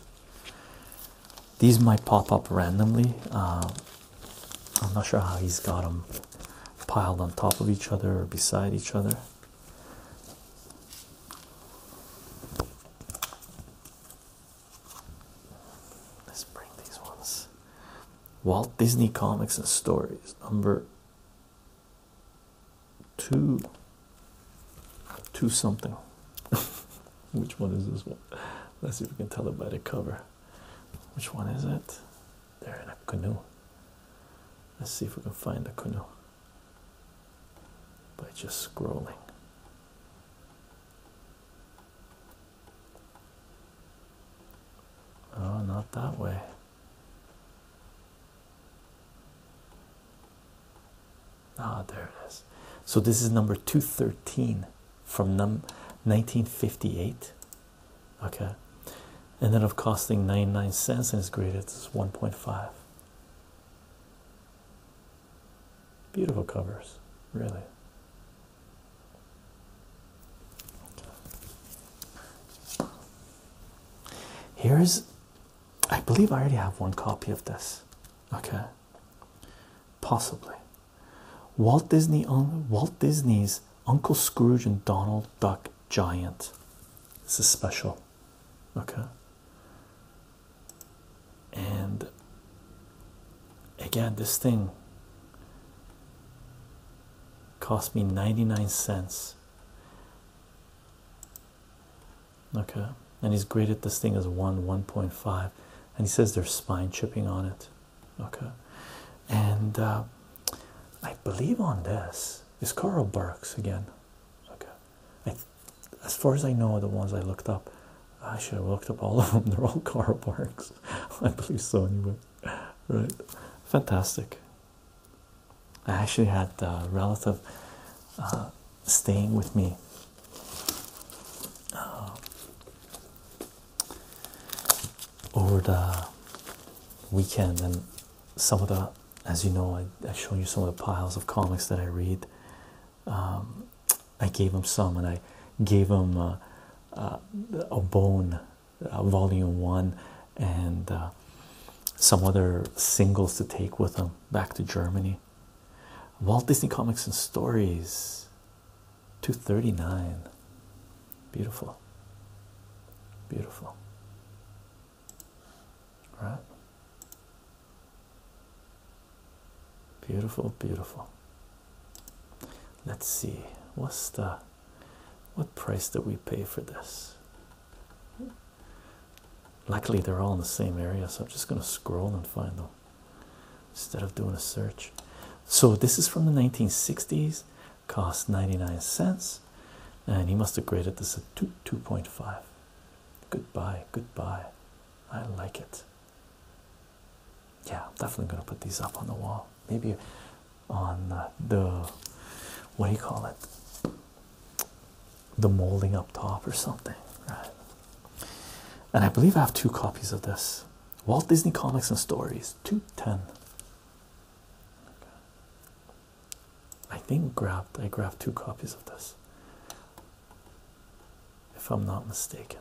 These might pop up randomly. Uh, I'm not sure how he's got them piled on top of each other or beside each other. Let's bring these ones. Walt Disney Comics and Stories, number two, two something. Which one is this one? Let's see if we can tell it by the cover. Which one is it? They're in a canoe. Let's see if we can find the canoe by just scrolling. Oh, not that way. Ah, there it is. So this is number 213 from num 1958. Okay. And then of costing 99 cents and it's graded as 1.5. Beautiful covers, really. Here's, I believe I already have one copy of this. Okay. Possibly. Walt Disney's Uncle Scrooge and Donald Duck Giant. This is special. Okay. And again, this thing cost me 99 cents. Okay and he's graded this thing as 1 1.5 and he says there's spine chipping on it okay and uh, i believe on this is carl burks again okay as far as i know the ones i looked up i should have looked up all of them they're all carl burks i believe so anyway right fantastic i actually had a relative uh, staying with me uh, over the weekend, and some of the, as you know, I, I've shown you some of the piles of comics that I read. Um, I gave him some, and I gave him uh, uh, a bone, volume one, and some other singles to take with him back to Germany. Walt Disney Comics and Stories 239. Beautiful. Beautiful. All right? Beautiful, beautiful. Let's see. What's the what price did we pay for this? Luckily, they're all in the same area, so I'm just going to scroll and find them instead of doing a search. So this is from the 1960s, cost 99 cents, and he must have graded this at 2 2.5. Goodbye, goodbye. I like it. Yeah, I'm definitely gonna put these up on the wall. Maybe on uh, the what do you call it? The molding up top or something, right? And I believe I have two copies of this Walt Disney Comics and Stories 210. I think grabbed I grabbed two copies of this, if I'm not mistaken.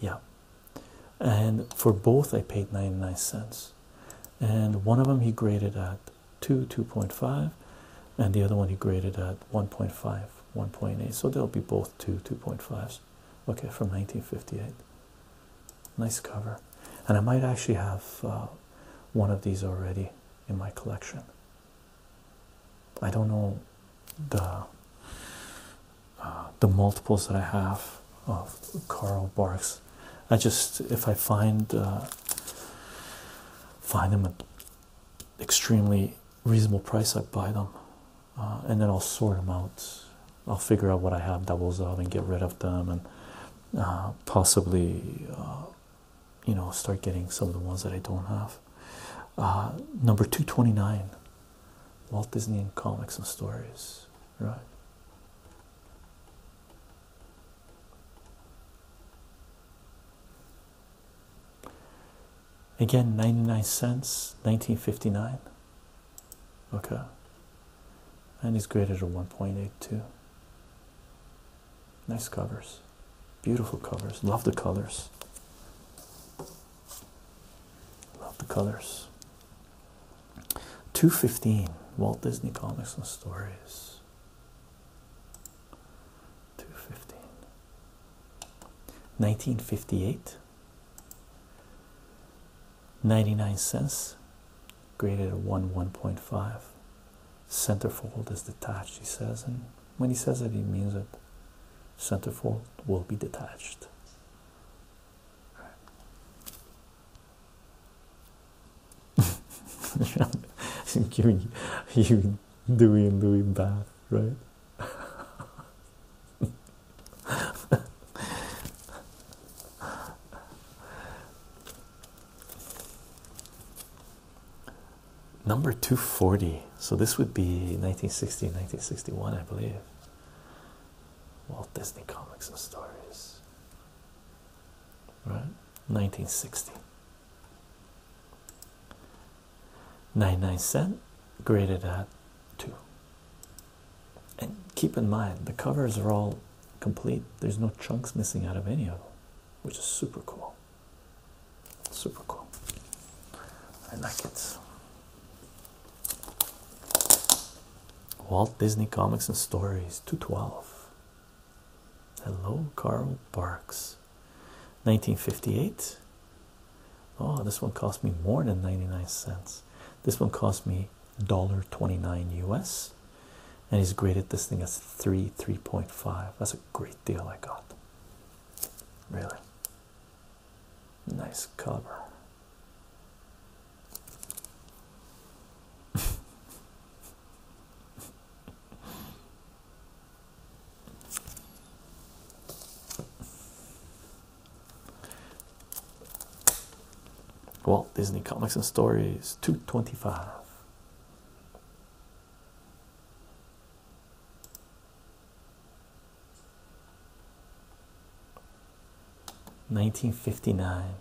Yeah, and for both I paid 99 cents, and one of them he graded at two, 2.5, and the other one he graded at 1.5. 1.8 so they'll be both two 2.5s okay from 1958 nice cover and i might actually have uh, one of these already in my collection i don't know the uh, the multiples that i have of carl barks i just if i find uh, find him extremely reasonable price, I buy them, uh, and then I'll sort them out. I'll figure out what I have doubles of and get rid of them, and uh, possibly, uh, you know, start getting some of the ones that I don't have. number two twenty nine, Walt Disney and comics and stories, right? Again, 99 cents, 1959. Okay. And it's graded at 1.82. Nice covers. Beautiful covers. Love the colors. Love the colors. 215 Walt Disney Comics and Stories. 215 1958 99 cents graded at 1 1.5 centerfold is detached he says and when he says that he means that centerfold will be detached you Dewey and Louis right? Number 240. So this would be 1960, 1961, I believe. Walt Disney Comics and Stories. Right? 1960. Nine 99 cent graded at 2 and keep in mind the covers are all complete there's no chunks missing out of any of them which is super cool super cool i like it walt disney comics and stories 212 hello carl Parks. 1958. Oh, this one cost me more than 99 cents. This one cost me $1.29 US. And he's graded this thing as 3, 3.5. That's a great deal I got. Really. Nice cover. Walt Disney Comics and Stories 225. Nineteen fifty nine,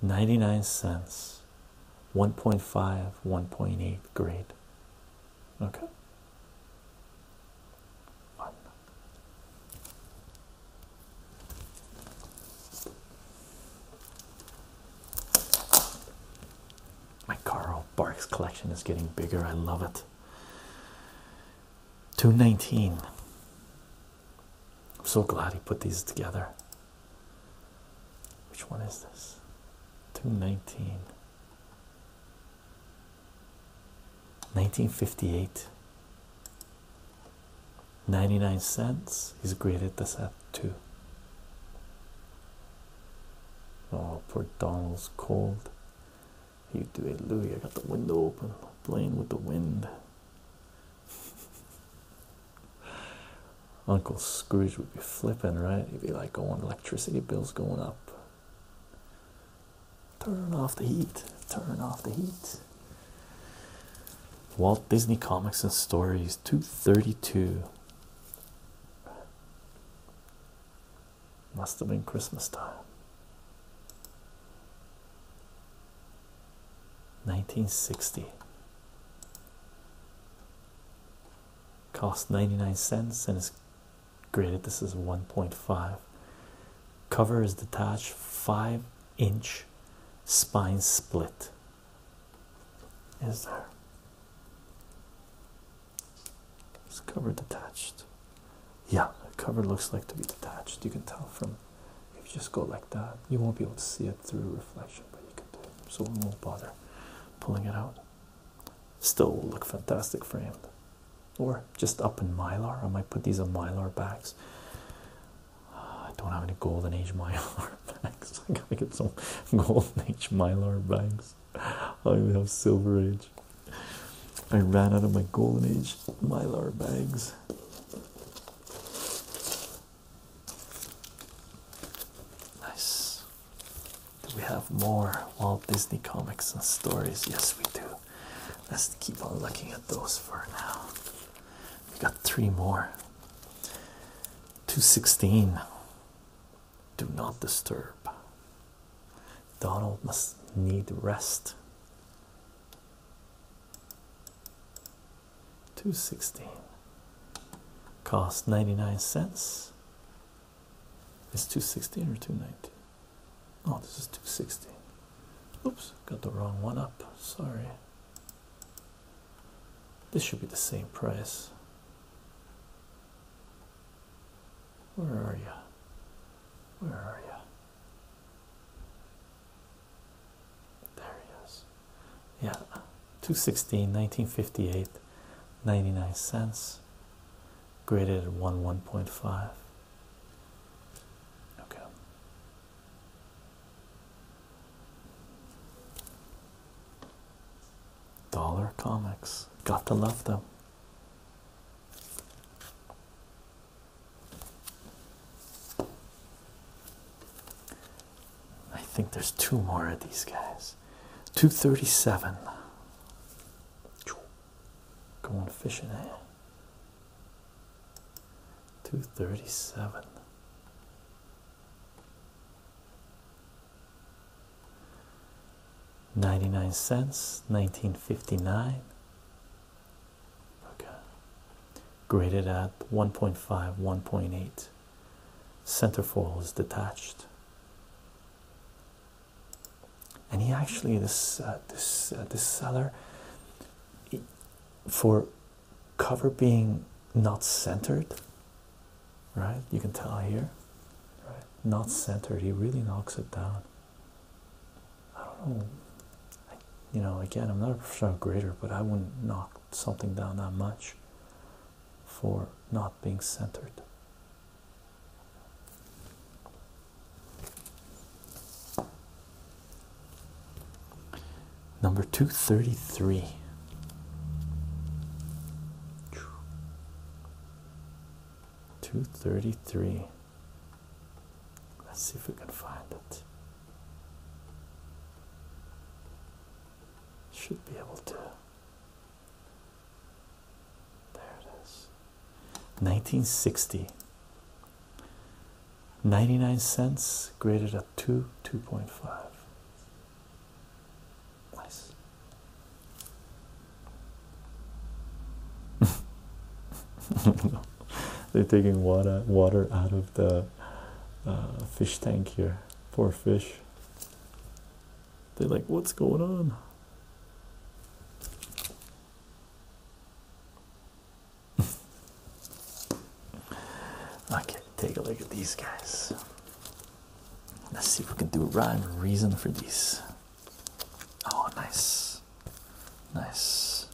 ninety nine cents, one point five, one point eight grade okay Fun. my Carl Barks collection is getting bigger. I love it. 219. I'm so glad he put these together. Which one is this? 219. 1958 99 cents he's graded this at too. Oh, poor Donald's cold. You do it, Louie. I got the window open, playing with the wind. Uncle Scrooge would be flipping, right? He'd be like, Oh, electricity bill's going up. Turn off the heat. Turn off the heat. Walt Disney Comics and Stories 232. Must have been Christmas time. 1960. Cost 99 cents and is graded this is 1.5 cover is detached 5 inch spine split is there? there is cover detached yeah the cover looks like to be detached you can tell from if you just go like that you won't be able to see it through reflection but you can do so we won't bother pulling it out still look fantastic framed or just up in mylar. I might put these in mylar bags. I don't have any golden age mylar bags. I gotta get some golden age mylar bags. I only have silver age. I ran out of my golden age mylar bags. Nice. Do we have more Walt Disney comics and stories? Yes, we do. Let's keep on looking at those for now. We got three more. 216. Do not disturb. Donald must need rest. 216. Cost 99 cents. It's 216 or 219? Oh, this is 216. Oops, got the wrong one up. Sorry. This should be the same price. Where are you? Where are you? There he is. Yeah, 216, 1958, 99 cents graded at 1 1.5 okay dollar comics got to love them I think there's two more of these guys 237 Going fishing, eh? 237. Ninety nine cents, nineteen fifty nine. Okay, graded at one point five, one point eight. Centerfoil is detached and he actually this uh, this uh, this seller for cover being not centered right you can tell here right not centered he really knocks it down i don't know you know again i'm not a professional grader but i wouldn't knock something down that much for not being centered Number 233. Two thirty three. Let's see if we can find it. Should be able to. There it is. 1960. 99 cents graded at 2, 2.5. Nice. They're taking water water out of the uh, fish tank here. Poor fish. They're like, what's going on? okay, take a look at these guys. Let's see if we can do rhyme or reason for these. Oh, nice, nice.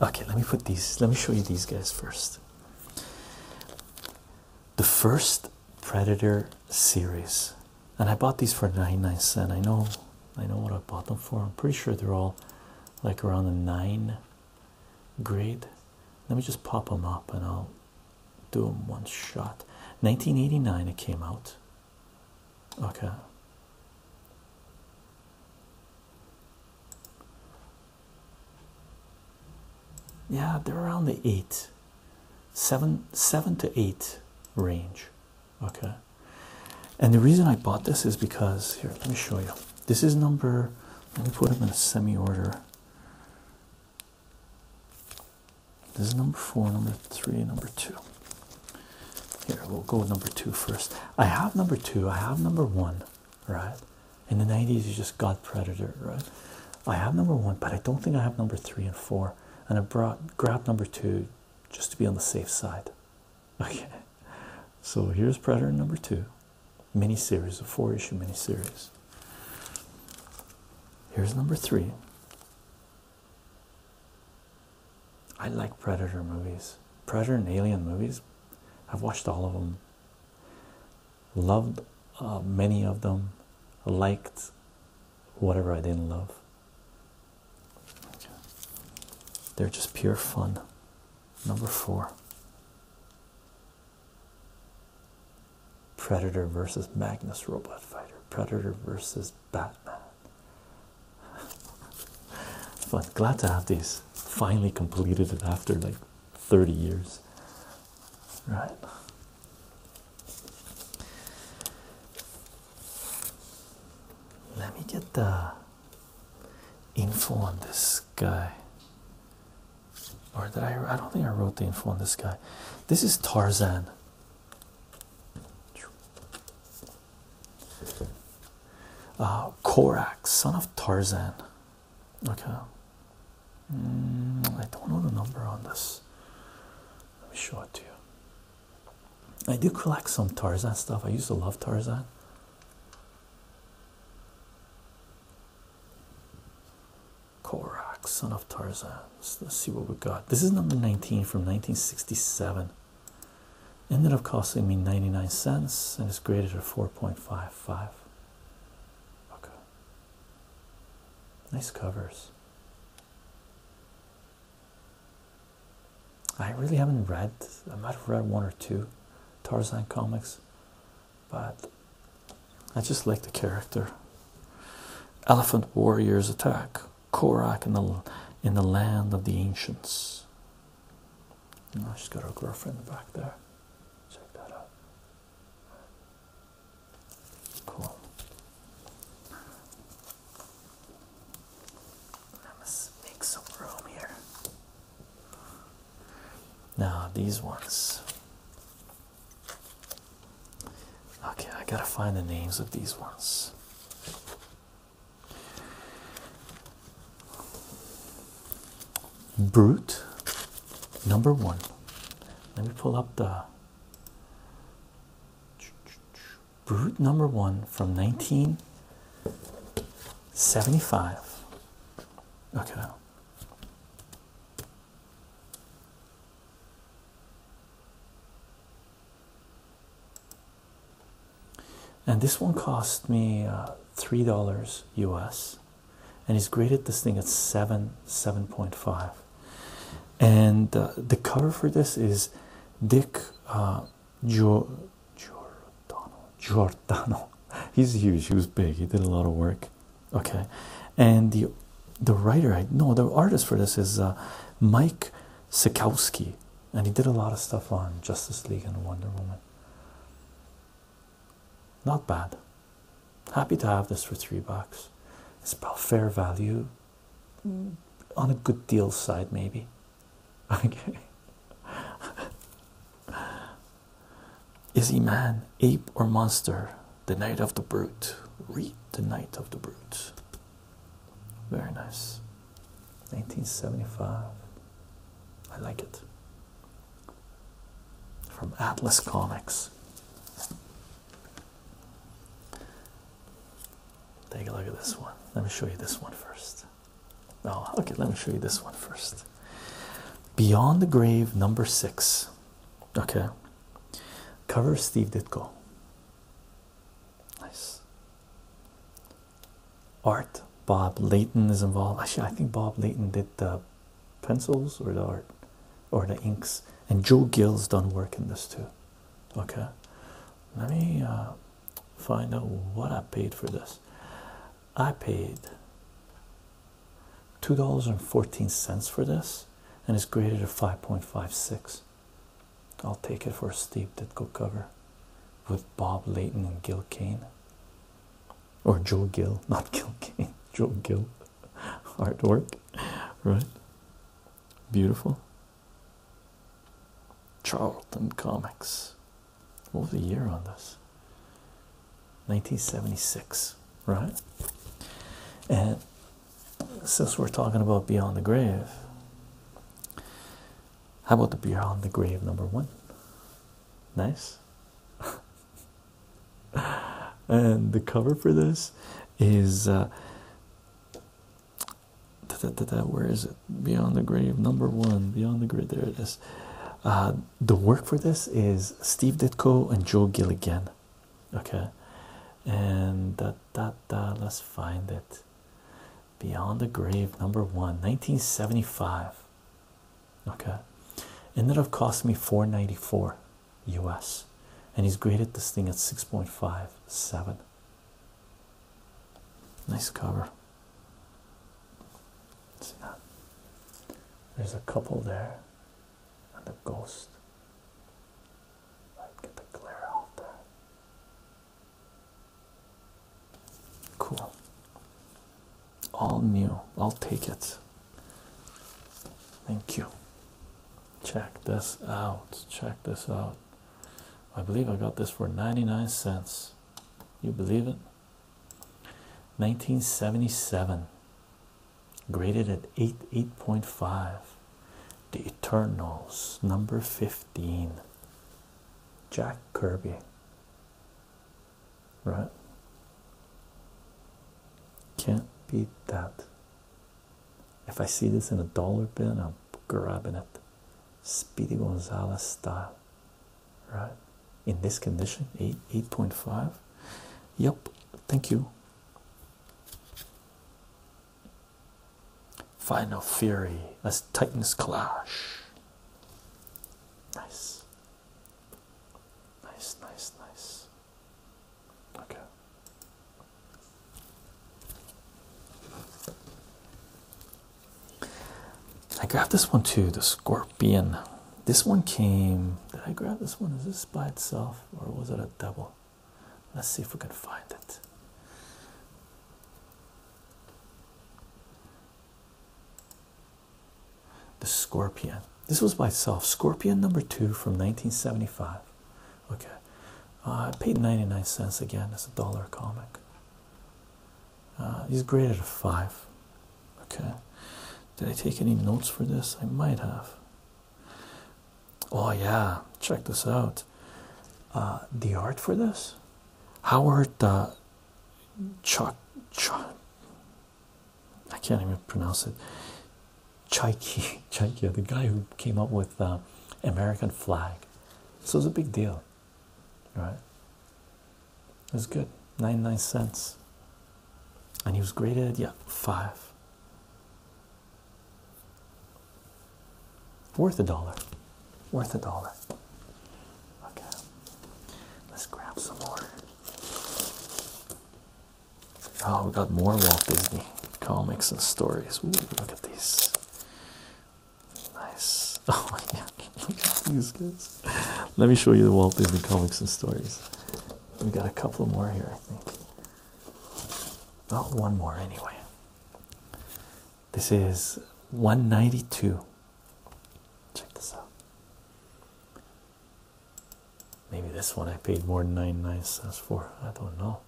Okay, let me put these, let me show you these guys first. The first Predator series and I bought these for nine nine cents. I know I know what I bought them for. I'm pretty sure they're all like around a nine grade. Let me just pop them up and I'll do them one shot. 1989 it came out. Okay. Yeah, they're around the eight, seven, seven to eight range okay and the reason i bought this is because here let me show you this is number let me put them in a semi order this is number four number three number two here we'll go with number two first i have number two i have number one right in the 90s you just got predator right i have number one but i don't think i have number three and four and i brought grabbed number two just to be on the safe side. Okay, so here's Predator number two, mini series, a four issue mini series. Here's number three. I like Predator movies, Predator and Alien movies. I've watched all of them, loved uh, many of them, liked whatever I didn't love. They're just pure fun. Number four Predator versus Magnus Robot Fighter, Predator versus Batman. Fun. Glad to have these. Finally completed it after like 30 years. Right. Let me get the info on this guy. Or did I? I don't think I wrote the info on this guy. This is Tarzan. Uh, Korak, son of Tarzan. Okay. Mm, I don't know the number on this. Let me show it to you. I do collect some Tarzan stuff. I used to love Tarzan. Korak, son of Tarzan. Let's, see what we got. This is number 19 from 1967. Ended up costing me 99 cents and it's graded at 4.55. Okay. Nice covers. I really haven't read, I might have read one or two Tarzan comics, but I just like the character. Elephant Warriors Attack, Korak in the, in the Land of the Ancients. Oh, she's got her girlfriend back there. Check that out. Cool. I must make some room here. Now, these ones. Okay, I gotta find the names of these ones. Brute number one. Let me pull up the Brute number one from 1975. Okay. And this one cost me uh, three dollars US, and he's graded this thing at seven, seven point five and uh, the cover for this is Dick uh, Giordano. Giordano. He's huge. He was big. He did a lot of work. Okay, and the the writer I know the artist for this is uh, Mike Sikowski, and he did a lot of stuff on Justice League and Wonder Woman. Not bad. Happy to have this for three bucks. It's about fair value on a good deal side, maybe. Okay. Is he man, ape, or monster? The Night of the Brute. Read The Night of the Brute. Very nice. 1975. I like it. From Atlas Comics. Take a look at this one. Let me show you this one first. Oh, okay, let me show you this one first. Beyond the Grave, number six. Okay. Cover Steve Ditko. Nice. Art. Bob Layton is involved. Actually, I think Bob Layton did the pencils or the art or the inks. And Joe Gill's done work in this too. Okay. Let me uh, find out what I paid for this. I paid two dollars and fourteen cents for this, and it's graded at five point five six. I'll take it for a steep Ditko cover with Bob Layton and Gil Kane. Or Joe Gill, not Gil Kane, Joe Gill artwork, right? Beautiful, Charlton Comics. What was the year on this? 1976, right? And since we're talking about Beyond the Grave, how about the Beyond the Grave number one? Nice. and the cover for this is uh, where is it? Beyond the Grave, number one, Beyond the Grave. There it is. Uh, the work for this is Steve Ditko and Joe Gilligan. Okay, and that let's find it. Beyond the Grave, number one, 1975. Okay, and that have cost me 494 US, and he's graded this thing at 6.57. Nice cover. See that? There's a couple there and a ghost. Get the glare out there. Cool. All new. I'll take it. Thank you. Check this out. Check this out. I believe I got this for 99 cents. You believe it? 1977. Graded at 8 8.5. The Eternals, number 15. Jack Kirby. Right? Can't beat that. If I see this in a dollar bin, I'm grabbing it. Speedy Gonzalez style, right? In this condition, 8 8.5. Yep, thank you. Final Fury, as Titans clash. Nice, nice, nice, nice. Okay, I grabbed this one too, the scorpion. This one came. Did I grab this one? Is this by itself or was it a double? Let's see if we can find it. The scorpion. This was by itself. Scorpion number two from 1975. Okay. Uh, I paid 99 cents again. It's a dollar comic. Uh, he's graded a five. Okay. Did I take any notes for this? I might have. Oh yeah, check this out. Uh, the art for this, Howard Chuck I can't even pronounce it. Chaiki, Chaiki, the guy who came up with American flag. So it's a big deal right? It was good, nine nine cents. And he was graded, yeah, five. Worth a dollar. Worth a dollar. Okay. Let's grab some more. Oh, we got more Walt Disney comics and stories. look at these. Nice. Oh my god, look at these guys. Let me show you the Walt Disney comics and stories. We got a couple more here, I think. Not one more anyway. This is 192. Check this out. Maybe this one I paid more than 99 cents for. I don't know.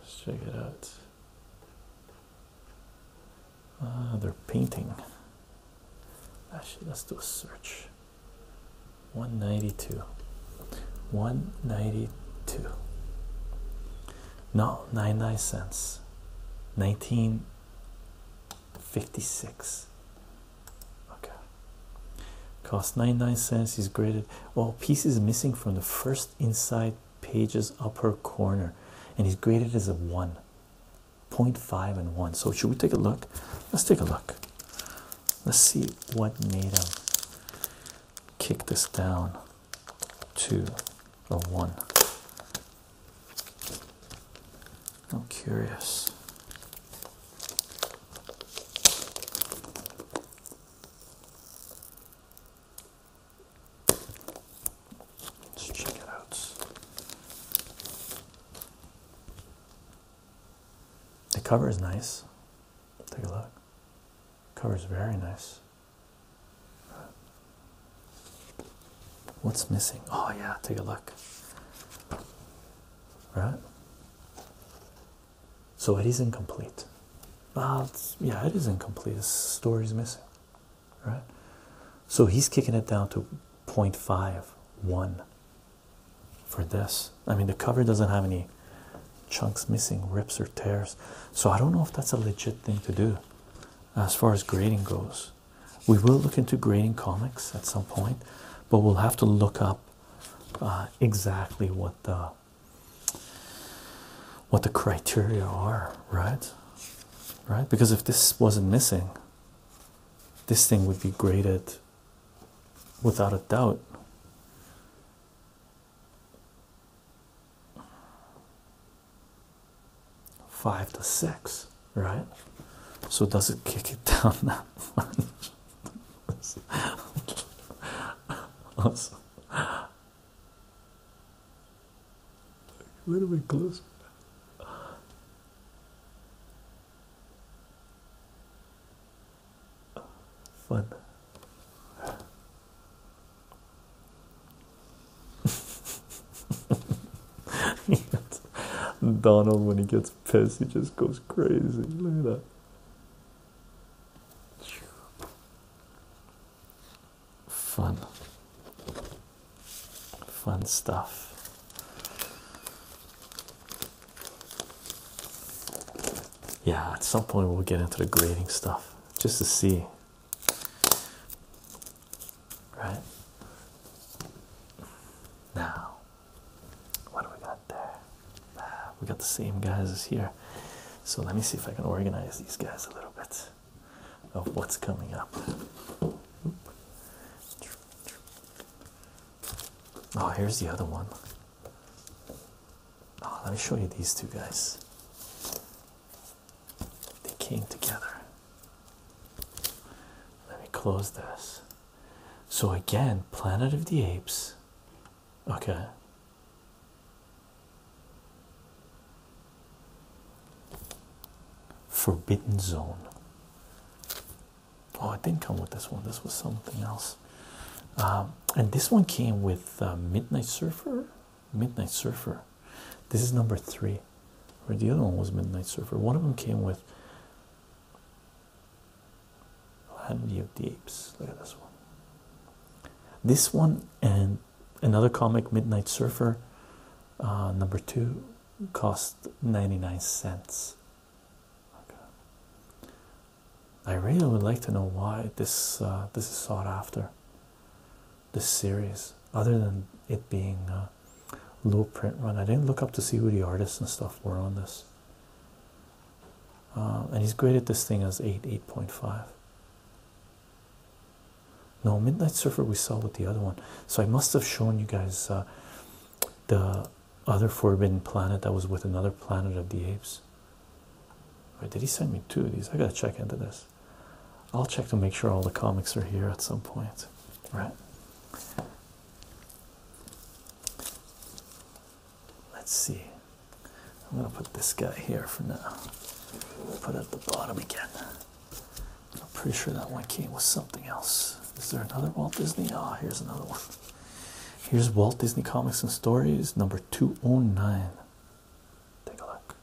Let's check it out. Uh, they're painting. Actually, let's do a search. 192. 192. No, 99 cents. 1956. Okay. Cost 99 cents. He's graded well piece is missing from the first inside pages upper corner and he's graded as a one, point five and 1 so should we take a look let's take a look let's see what made him kick this down to a 1 i'm curious Let's check it out. The cover is nice. Take a look. Cover is very nice. What's missing? Oh yeah, take a look. Right? So it is incomplete. Well, yeah, it is incomplete. His story's missing, right? So he's kicking it down to 0.51 for this. I mean, the cover doesn't have any chunks missing, rips, or tears. So I don't know if that's a legit thing to do as far as grading goes. We will look into grading comics at some point, but we'll have to look up uh, exactly what the what the criteria are, right? Right? Because if this wasn't missing, this thing would be graded without a doubt. Five to six, right? So does it kick it down that much? a little bit closer. Fun. Donald, when he gets pissed, he just goes crazy. Look at that. Fun, fun stuff. Yeah, at some point we'll get into the grading stuff just to see, right? Now, what do we got there? Ah we got the same guys as here. So let me see if I can organize these guys a little bit of what's coming up. Oh, here's the other one. Oh, let me show you these two guys. They came together. Let me close this. So, again, Planet of the Apes. Okay, Forbidden Zone. Oh, it didn't come with this one. This was something else. Um, and this one came with uh, Midnight Surfer. Midnight Surfer. This is number three. Or the other one was Midnight Surfer. One of them came with Land of the Apes. Look at this one. This one and another comic, Midnight Surfer, uh, number two, cost 99 cents. I really would like to know why this uh, this is sought after. This series, other than it being low print run, I didn't look up to see who the artists and stuff were on this. Uh, and he's graded this thing as eight, eight point five. No, Midnight Surfer we saw with the other one. So I must have shown you guys uh, the other Forbidden Planet that was with another Planet of the Apes. Or did he send me two of these? I gotta check into this. I'll check to make sure all the comics are here at some point. Right. Let's see. I'm gonna put this guy here for now. Put it at the bottom again. I'm pretty sure that one came with something else. Is there another Walt Disney? Ah, oh, here's another one. Here's Walt Disney Comics and Stories number 209. Take a look.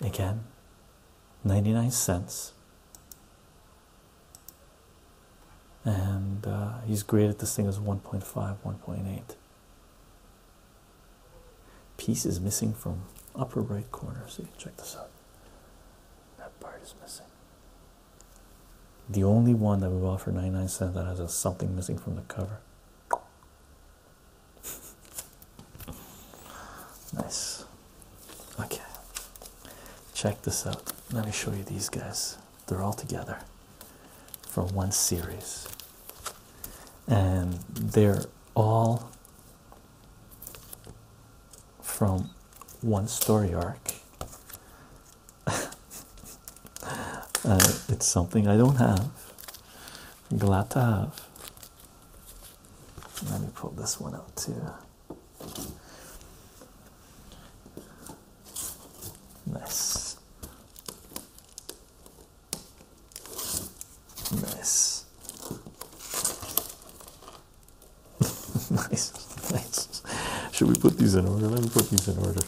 Again, 99 cents and uh, he's graded this thing as 1.5 1.8 piece is missing from upper right corner see check this out that part is missing the only one that we bought for 99 cents that has something missing from the cover Nice. Okay. Check this out. Let me show you these guys. They're all together from one series. And they're all from one story arc. it's something I don't have. I'm glad to have. Let me pull this one out too. Nice. Nice. nice. Nice. Should we put these in order? Let me put these in order.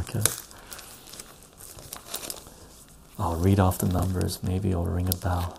Okay. I'll read off the numbers. Maybe i will ring a bell.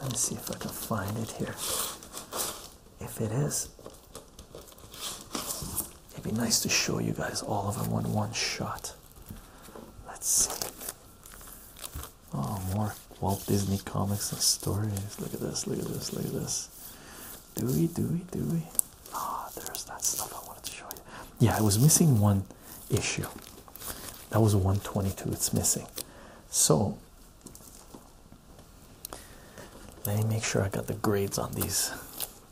let me see if I can find it here. If it is, it'd be nice to show you guys all of them in one shot. Let's see. Oh, more Walt Disney comics and stories. Look at this, look at this, look at this. Do we, do Ah, there's that stuff I wanted to show you. Yeah, I was missing one issue. That was 122, it's missing. So let me make sure I got the grades on these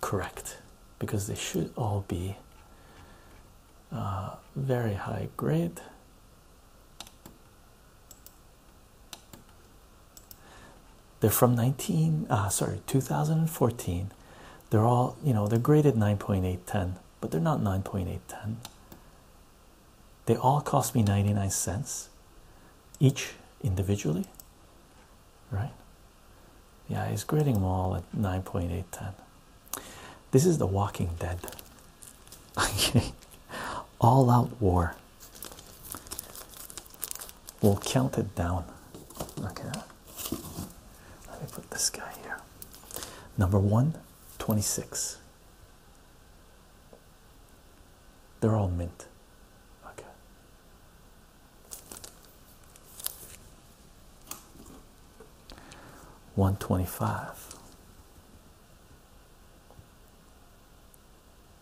correct because they should all be uh, very high grade. They're from 19, uh, sorry, 2014. They're all, you know, they're graded 9.810, but they're not 9.810. They all cost me 99 cents each individually, right? Yeah, he's grading them all at 9.810. This is The Walking Dead. Okay, all out war. We'll count it down. Okay, let me put this guy here. Number one, twenty six. They're all mint. Okay. One twenty five.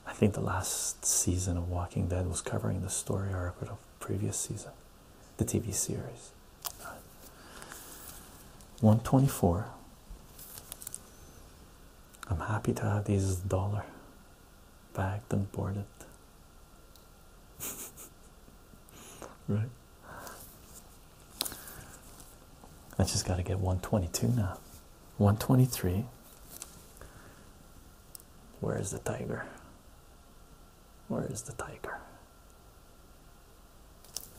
I think the last season of Walking Dead was covering the story arc of previous season, the TV series. 124 I'm happy to have this dollar bagged and boarded. right. I just got to get 122 now. 123. Where is the tiger? Where is the tiger?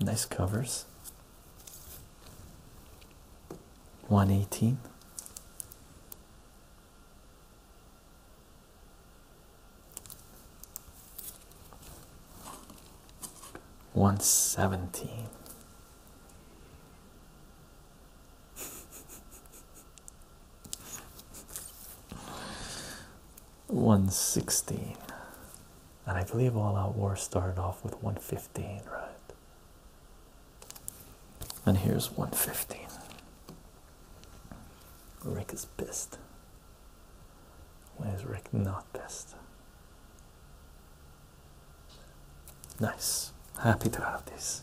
Nice covers. 118. One seventeen, 116 and i believe all out war started off with 115 right and here's 115 rick is pissed when is rick not pissed nice happy to have this,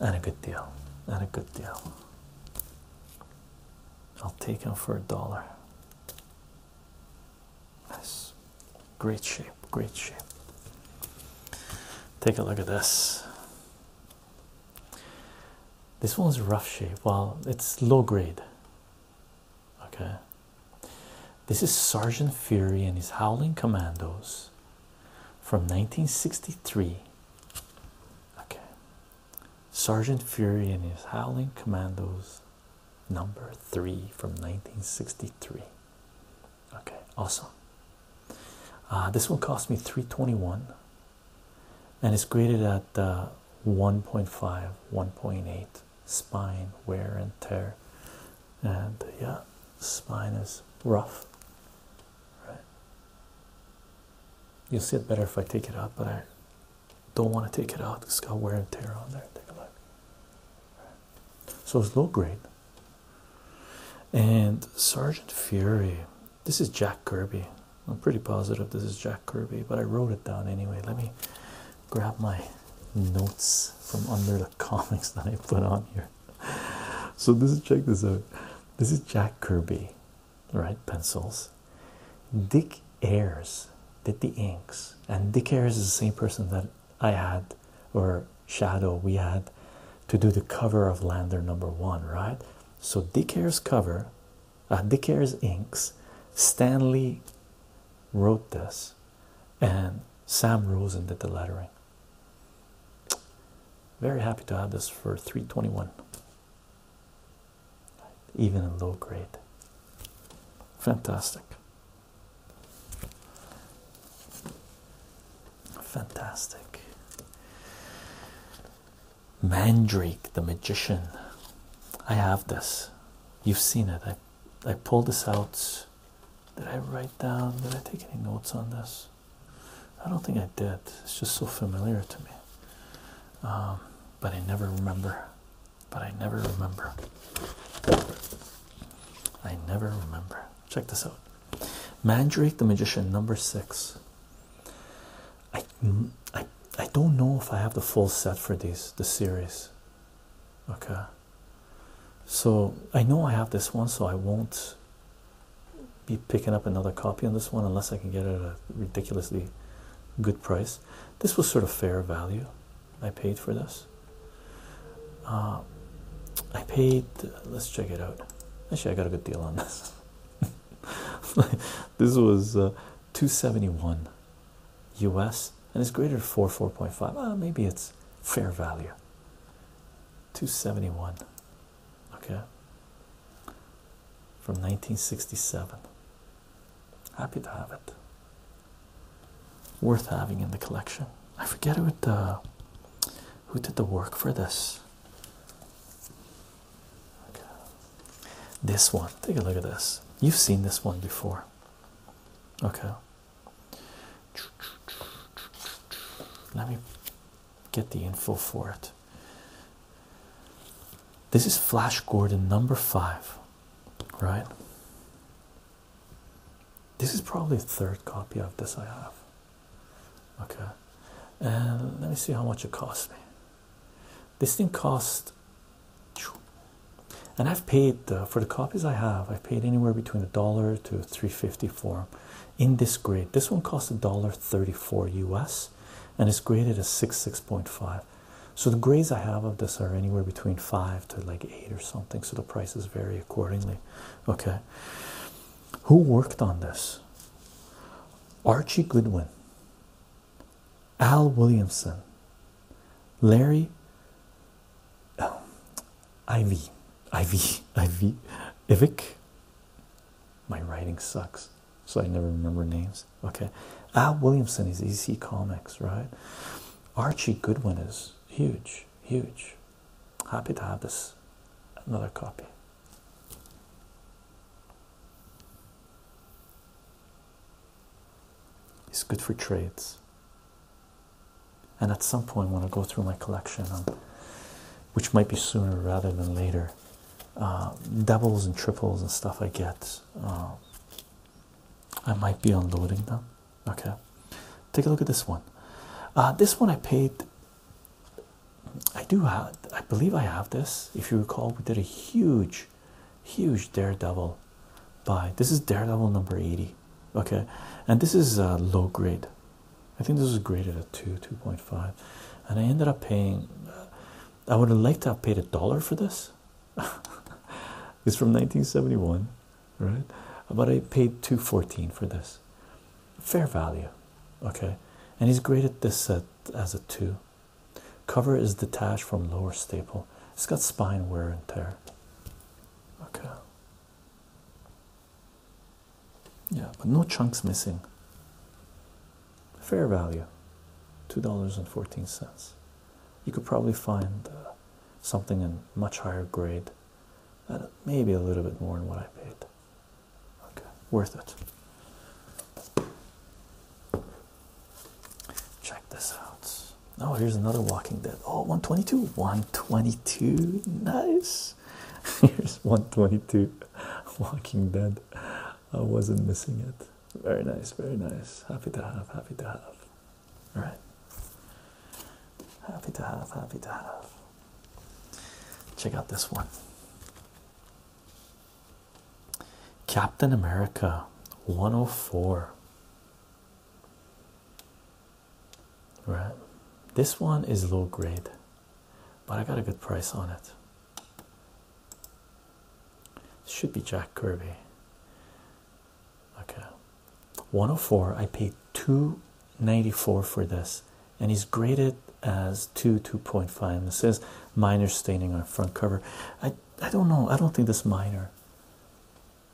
and a good deal and a good deal I'll take him for a dollar. Nice, great shape, great shape. Take a look at this. This one's rough shape. Well, it's low grade. Okay. This is Sergeant Fury and his Howling Commandos from 1963. Okay, Sergeant Fury and his Howling Commandos, number three from 1963. Okay, awesome. Uh, this one cost me 321 and it's graded at uh, 1.5, 1.8 spine wear and tear. And yeah, spine is rough. Right. You'll see it better if I take it out, but I don't want to take it out. It's got wear and tear on there. Take a look. So it's low grade. And Sergeant Fury. This is Jack Kirby. I'm pretty positive this is Jack Kirby, but I wrote it down anyway. Let me grab my notes from under the comics that I put on here. So this is check this out. This is Jack Kirby right? Pencils. Dick Ayers did the inks, and Dick Ayers is the same person that I had or Shadow we had to do the cover of Lander number one, right? So Dick Ayers cover, uh, Dick Ayers inks. Stanley wrote this, and Sam Rosen did the lettering. Very happy to have this for 321 even in low grade. Fantastic. Fantastic. Mandrake the Magician. I have this. You've seen it. I, I pulled this out. Did I write down? Did I take any notes on this? I don't think I did. It's just so familiar to me. Um, but I never remember. But I never remember. I never remember. Check this out Mandrake the Magician, number six. I, mm, I, I don't know if I have the full set for these, the series. Okay. So I know I have this one, so I won't be picking up another copy on this one unless I can get it ridiculously good price. This was sort of fair value. I paid for this. Uh, I paid. Let's check it out. Actually, I got a good deal on this. this was uh, 271 US and it's greater than 4 4.5. Ah, uh, maybe it's fair value. 271. Okay from 1967. Happy to have it. Worth having in the collection. I forget who did the work for this. This one. Take a look at this. You've seen this one before. Okay. Let me get the info for it. This is Flash Gordon number five, right? This is probably the third copy of this I have. Okay, and let me see how much it cost me. This thing cost, and I've paid for the copies I have. I paid anywhere between a dollar to three fifty-four, in this grade. This one costs a dollar thirty four U.S. and it's graded as six six point five. So the grades I have of this are anywhere between five to like eight or something. So the prices vary accordingly. Okay. Who worked on this? Archie Goodwin, Al Williamson, Larry oh, Ivy, Ivy, Ivy, Ivic. My writing sucks so I never remember names. Okay, Al Williamson is EC Comics, right? Archie Goodwin is huge, huge. Happy to have this another copy. It's good for trades. And at some point, when I go through my collection, which might be sooner rather than later, um, doubles and triples and stuff I get, um, I might be unloading them. Okay, take a look at this one. Uh, this one I paid. I do have, I believe I have this. If you recall, we did a huge, huge Daredevil buy. This is Daredevil number 80. Okay, and this is uh, low grade. I think this was graded at 2, 2.5. And I ended up paying uh, I would have liked to have paid a dollar for this. it's from 1971, right? But I paid 214 for this. Fair value. Okay. And he's graded this as a two. Cover is detached from lower staple. It's got spine wear and tear. Okay. Yeah, but no chunks missing fair value $2.14 you could probably find uh, something in much higher grade and maybe a little bit more than what I paid okay worth it check this out oh here's another walking dead oh 122 122 nice here's 122 walking dead I wasn't missing it very nice, very nice. Happy to have, happy to have. All right. Happy to have, happy to have. Check out this one. Captain America 104. Right. This one is low grade, but I got a good price on it. Should be Jack Kirby. Okay. 104. I paid 294 for this, and he's graded as 2 2.5. And it says minor staining on front cover. I I don't know. I don't think this minor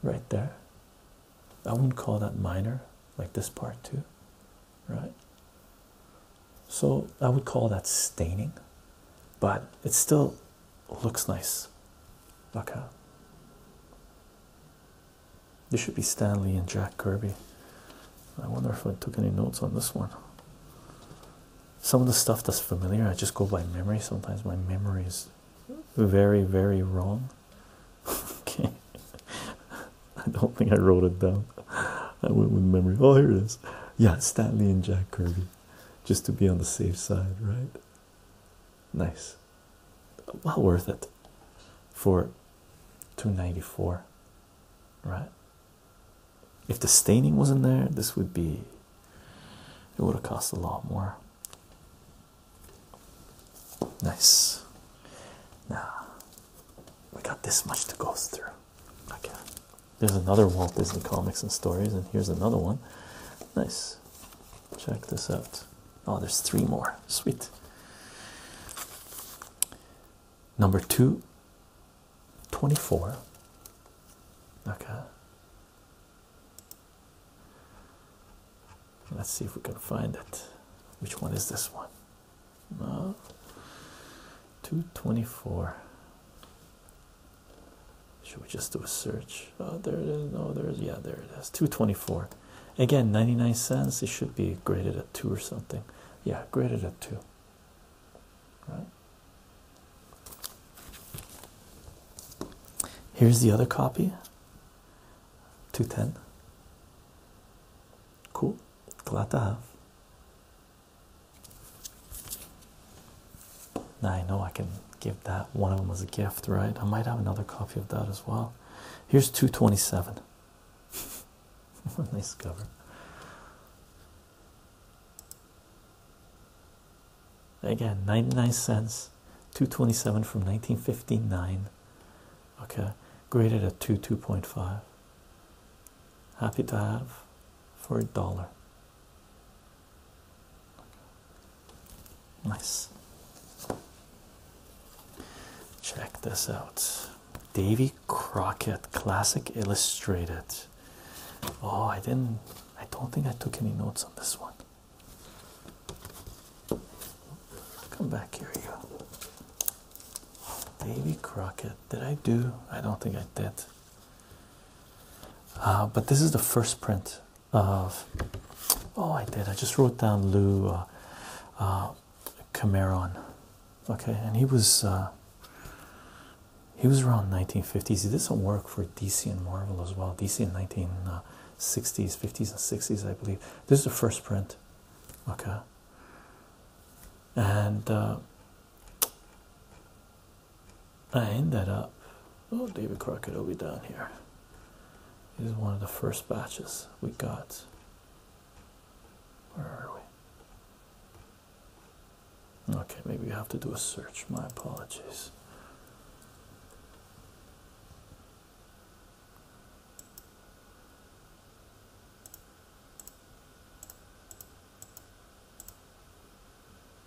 right there. I wouldn't call that minor, like this part too, right? So I would call that staining, but it's still looks nice. Okay. This should be Stanley and Jack Kirby. I wonder if I took any notes on this one. Some of the stuff that's familiar, I just go by memory. Sometimes my memory is very, very wrong. okay. I don't think I wrote it down. I went with memory. Oh, here it is. Yeah, Stanley and Jack Kirby just to be on the safe side, right? Nice. Well worth it for 294, right? If the staining wasn't there, this would be it would have cost a lot more. Nice. Now we got this much to go through. Okay. There's another Walt Disney comics and stories, and here's another one. Nice. Check this out. Oh, there's three more. Sweet. Number two, 24. Okay. Let's see if we can find it. Which one is this one? No. Uh, 224. Should we just do a search? Oh, there it is. No, there's yeah, there it is. 224. Again, 99 cents. It should be graded at two or something. Yeah, graded at two. Right. Here's the other copy. 210. Cool. Glad to have. I know I can give that one of them as a gift, right? I might have another copy of that as well. Here's 227. What nice cover. Again, 99 cents, 227 from 1959. Okay, graded at 2 2.5. Happy to have for a dollar. Nice. Check this out. Davy Crockett Classic Illustrated. Oh, I didn't, I don't think I took any notes on this one. Come back here, you. Davy Crockett. Did I do? I don't think I did. Uh, but this is the first print of. Oh, I did. I just wrote down Lou uh, uh Cameron. Okay, and he was uh, he was around 1950s. He did some work for DC and Marvel as well. DC in 1960s, 50s, and 60s, I believe. This is the first print. Okay, and I end that up. Oh, David Crockett will be down here. This is one of the first batches we got. Where are we? Okay, maybe we have to do a search. My apologies.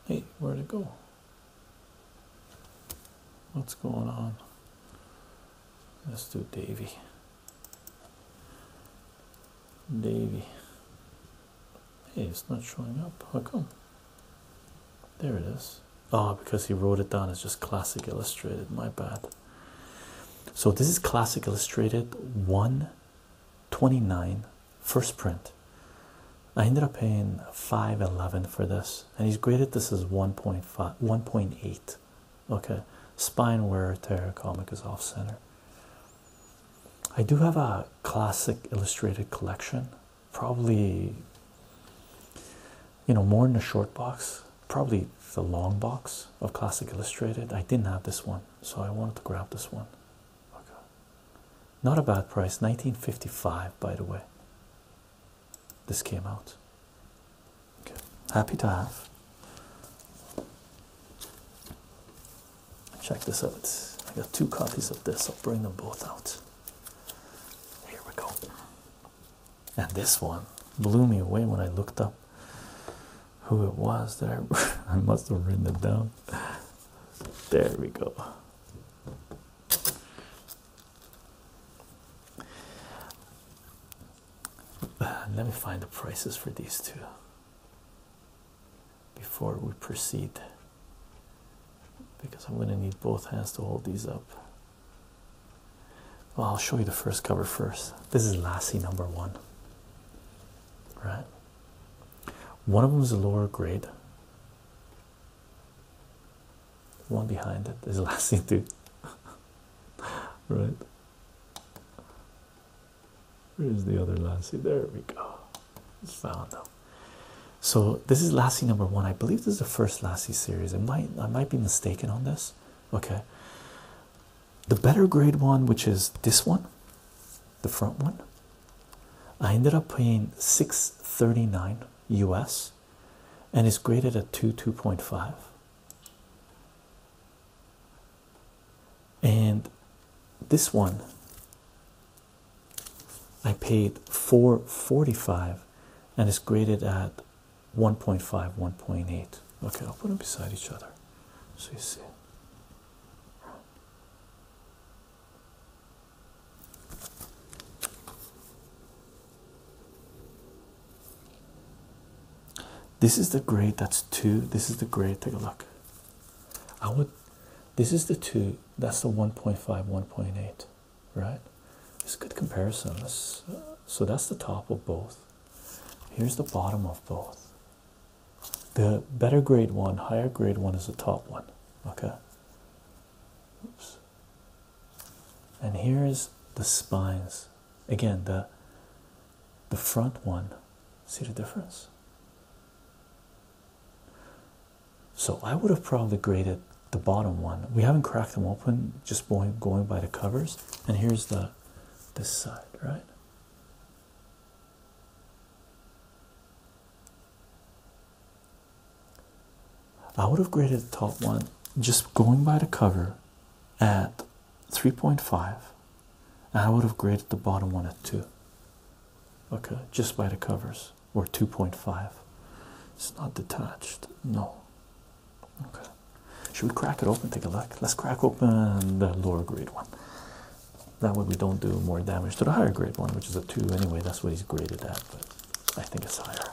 Hey, where'd it go? What's going on? Let's do Davy. Davy. Hey, it's not showing up. How come? There it is. Oh, because he wrote it down It's just Classic Illustrated. My bad. So this is Classic Illustrated 129 first print. I ended up paying 511 for this, and he's graded this as 1.5 1.8. Okay, spine wear tear comic is off center. I do have a classic illustrated collection, probably you know, more in the short box, probably the long box of classic illustrated. I didn't have this one, so I wanted to grab this one. Okay. Not a bad price, 1955, by the way. This came out. Okay. Happy to have. Check this out. I got two copies of this. I'll bring them both out. Here we go. And this one blew me away when I looked up who it was that I, I must have written it down. There we go. Uh, let me find the prices for these two before we proceed because I'm going to need both hands to hold these up. I'll show you the first cover first. This is Lassie number one, right? One of them is a lower grade, one behind it is the last thing too. right. Where's the other Lassie? There we go. found them. So this is Lassie number one. I believe this is the first Lassie series. I might I might be mistaken on this. Okay. The better grade one, which is this one, the front one, I ended up paying 639 US and is graded at 2 2.5 and this one I paid 445 and is graded at one point five one point eight. okay I'll put them beside each other so you see this is the grade that's two. This is the grade. Take a look. I would. This is the two. That's the 1.5, 1.8, right? It's a good comparison. so that's the top of both. Here's the bottom of both. The better grade one, higher grade one is the top one. Okay. And here is the spines. Again, the the front one. See the difference? So I would have probably graded the bottom one. We haven't cracked them open, just going going by the covers. And here's the this side, right? I would have graded the top one just going by the cover at 3.5, I would have graded the bottom one at 2. Okay, just by the covers, or 2.5. It's not detached, no. Okay, should we crack it open? Take a look. Let's crack open the lower grade one. That way, we don't do more damage to the higher grade one, which is a 2 anyway. That's what he's graded at. But I think it's higher.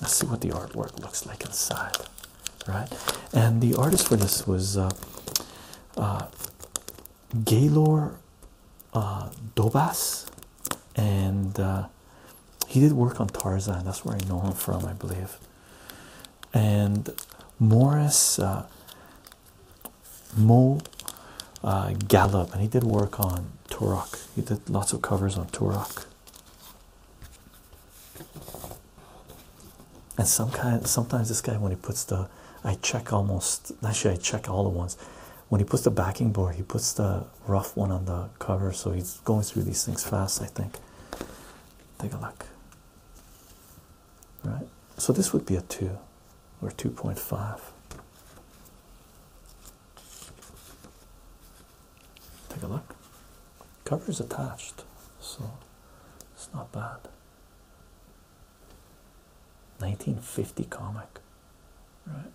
Let's see what the artwork looks like inside, right? And the artist for this was uh, uh Gaylor uh, Dobas, and uh, he did work on Tarzan. That's where I know him from, I believe. And Morris Mo uh, Gallup, and he did work on Turok. He did lots of covers on Turok. And some sometimes this guy, when he puts the, I check almost, actually I check all the ones. When he puts the backing board, he puts the rough one on the cover. So he's going through these things fast, I think. Take a look. Right. So this would be a two or 2.5. Take a look. Cover is attached, so it's not bad. 1950 comic, right?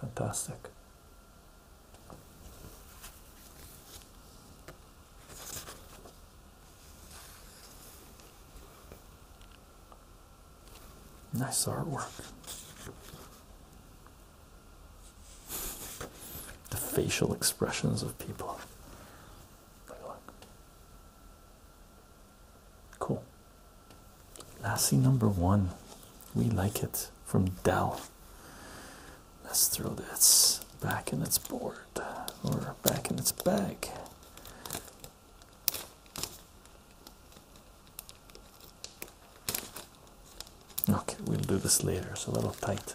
Fantastic. Nice artwork. The facial expressions of people. Cool. Lassie number one. We like it from Dell. Let's throw this back in its board or back in its bag. Okay, we'll do this later. It's a little tight.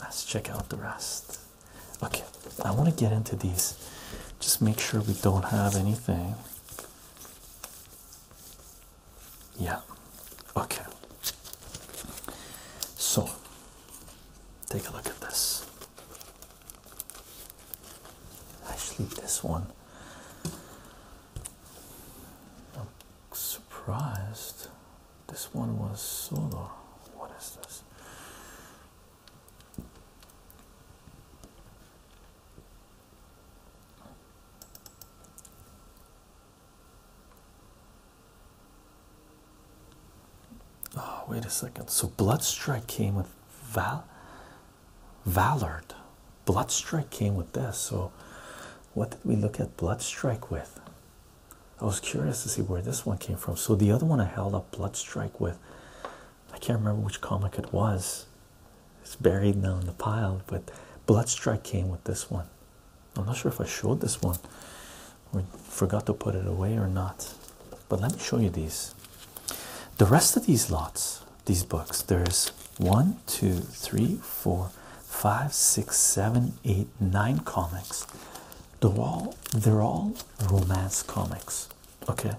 Let's check out the rest. Okay, I want to get into these. Just make sure we don't have anything. Yeah, okay. So, take a look at this. Actually, this one. surprised. This one was solo. What is this? Oh, wait a second. So Bloodstrike came with Val Valard. Bloodstrike came with this. So what did we look at Bloodstrike with? I was curious to see where this one came from. So the other one I held up Bloodstrike with, I can't remember which comic it was. It's buried now in the pile, but Bloodstrike came with this one. I'm not sure if I showed this one we forgot to put it away or not but let me show you these the rest of these lots these books there's one two three four five six seven eight nine comics they're they're all romance comics okay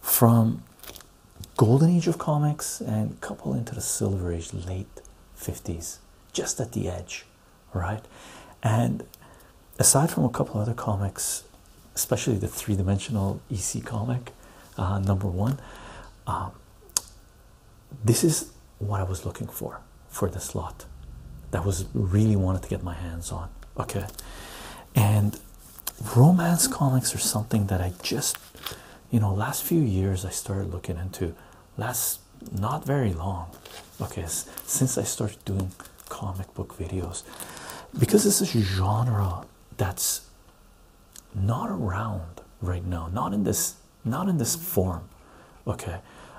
from golden age of comics and couple into the silver age late 50s just at the edge right and aside from a couple other comics, especially the three dimensional EC comic, uh, number one, um, this is what I was looking for for this lot that was really wanted to get my hands on. Okay, and romance comics are something that I just you know, last few years I started looking into last not very long okay since I started doing comic book videos because this is genre that's not around right now not in this not in this form okay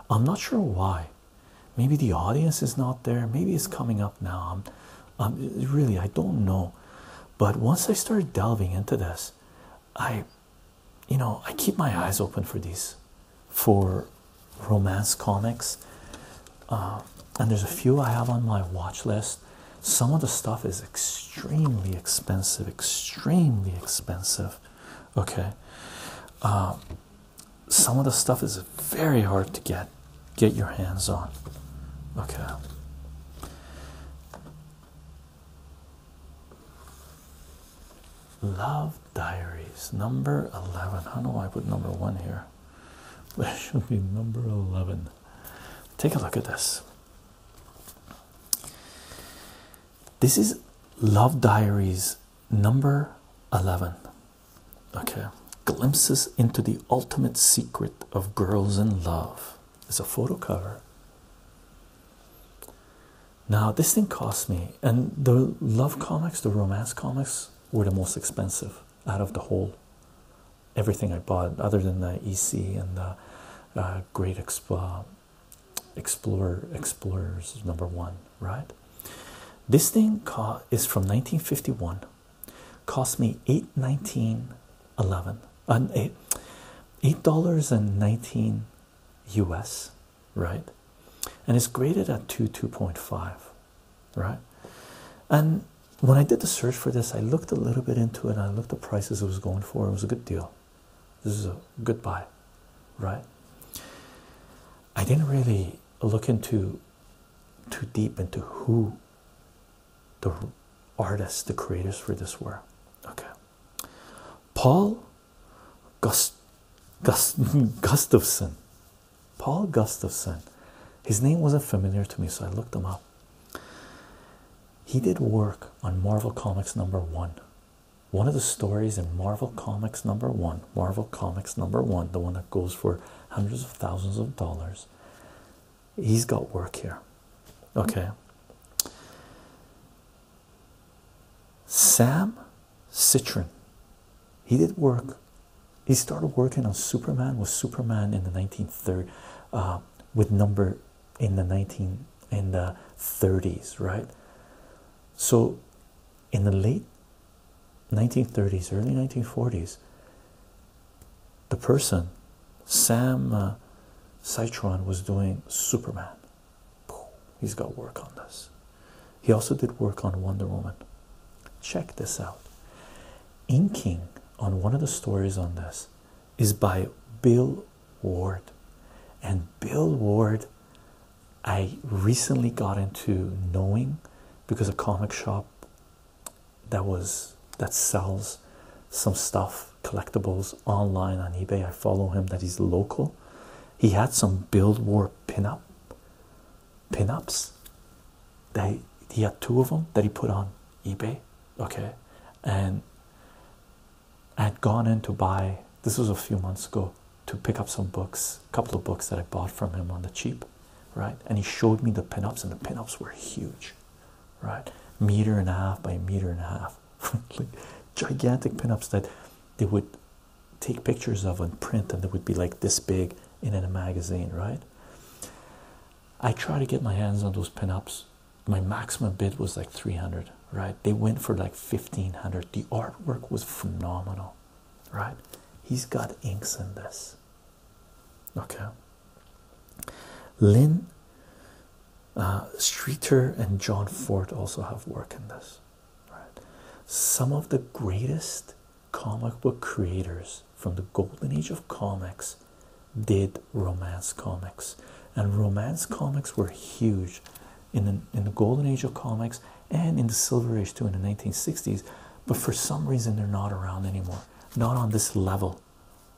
i'm not sure why maybe the audience is not there maybe it's coming up now i'm, really i don't know but once i started delving into this i you know i keep my eyes open for these for romance comics. Uh, and there's a few I have on my watch list. Some of the stuff is extremely expensive, extremely expensive. Okay. Uh, some of the stuff is very hard to get get your hands on. Okay. Love Diaries, number 11. How do I put number one here? That should be number 11. Take a look at this. This is Love Diaries number 11. Okay. Glimpses into the ultimate secret of girls in love. It's a photo cover. Now, this thing cost me, and the love comics, the romance comics, were the most expensive out of the whole everything I bought, other than the EC and the uh, Great Explorer Explorers number one, right? This thing is from 1951. Cost me eight nineteen eleven, an uh, eight eight dollars and nineteen U.S. right, and it's graded at two two point five right? And when I did the search for this, I looked a little bit into it and I looked at prices it was going for. It was a good deal. This is a good buy, right? I didn't really look into too deep into who the artists, the creators for this were. Okay. Paul Gust Gust Gustafson, Paul Gustafson. His name wasn't familiar to me, so I looked him up. He did work on Marvel Comics number one. One of the stories in Marvel Comics number one, Marvel Comics number one, the one that goes for hundreds of thousands of dollars, he's got work here. Okay. Sam Citron. He did work he started working on Superman with Superman in the 1930s, uh, with number in the 19 in the 30s, right? So, in the late 1930s, early 1940s, the person Sam uh, was doing Superman. He's got work on this. He also did work on Wonder Woman. Check this out. Inking on one of the stories on this is by Bill Ward. And Bill Ward, I recently got into knowing because a comic shop that was that sells some stuff, collectibles online on eBay. I follow him that he's local. He had some Bill Ward pinup pinups that he, had two of them that he put on eBay, okay, and I had gone in to buy. This was a few months ago to pick up some books, a couple of books that I bought from him on the cheap, right? And he showed me the pinups, and the pinups were huge, right? Meter and a half by a meter and a half, like gigantic pinups that they would take pictures of and print, and they would be like this big, in a magazine, right? I try to get my hands on those pinups. My maximum bid was like 300, right? They went for like 1500. The artwork was phenomenal, right? He's got inks in this. Okay. Lynn uh, Streeter and John Fort also have work in this. Right. Some of the greatest comic book creators from the golden age of comics did romance comics, and romance comics were huge in the, in the golden age of comics and in the silver age too in the 1960s. But for some reason, they're not around anymore, not on this level,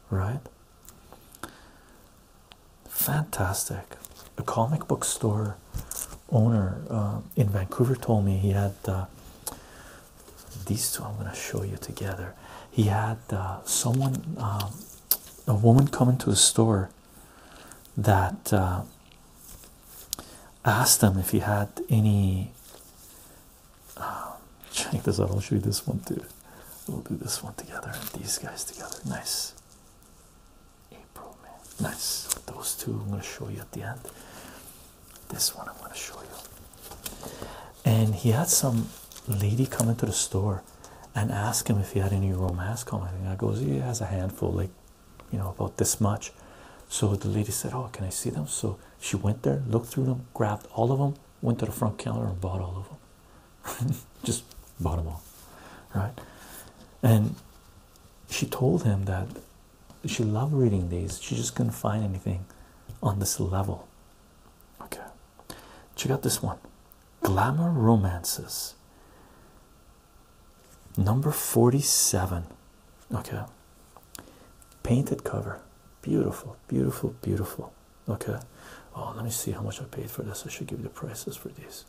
right? Fantastic. A comic book store owner uh, in Vancouver told me he had uh, these two I'm going to show you together. He had uh, someone, um, a woman, come into a store that uh, asked him if he had any. Um, check this out. I'll show you this one too. We'll do this one together and these guys together. Nice. April, man. Nice. Those two I'm going to show you at the end. This one I'm going to show you. And he had some lady come into the store and ask him if he had any romance comic. And I goes, he has a handful, like you know, about this much. So the lady said, "Oh, can I see them?" So she went there, looked through them, grabbed all of them, went to the front counter and bought all of them. Just bought them all, right? And she told him that she loved reading these. She just couldn't find anything on this level. Okay, check out this one Glamour Romances, number 47. Okay, painted cover, beautiful, beautiful, beautiful. Okay, oh, let me see how much I paid for this. I should give you the prices for these.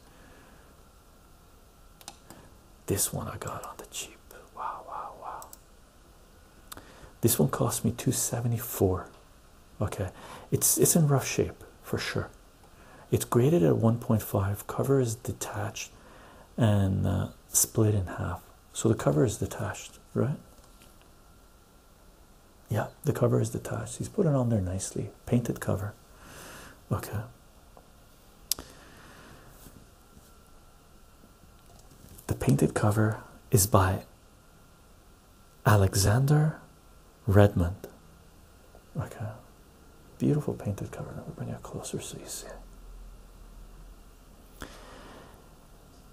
This one I got on the cheap. Wow, wow, wow. This one cost me 274. Okay, it's it's in rough shape for sure. It's graded at 1.5. Cover is detached and uh, split in half. So the cover is detached, right? Yeah, the cover is detached. He's put it on there nicely. Painted cover. Okay. The painted cover is by Alexander Redmond. Okay, beautiful painted cover. Let me bring it closer so you see.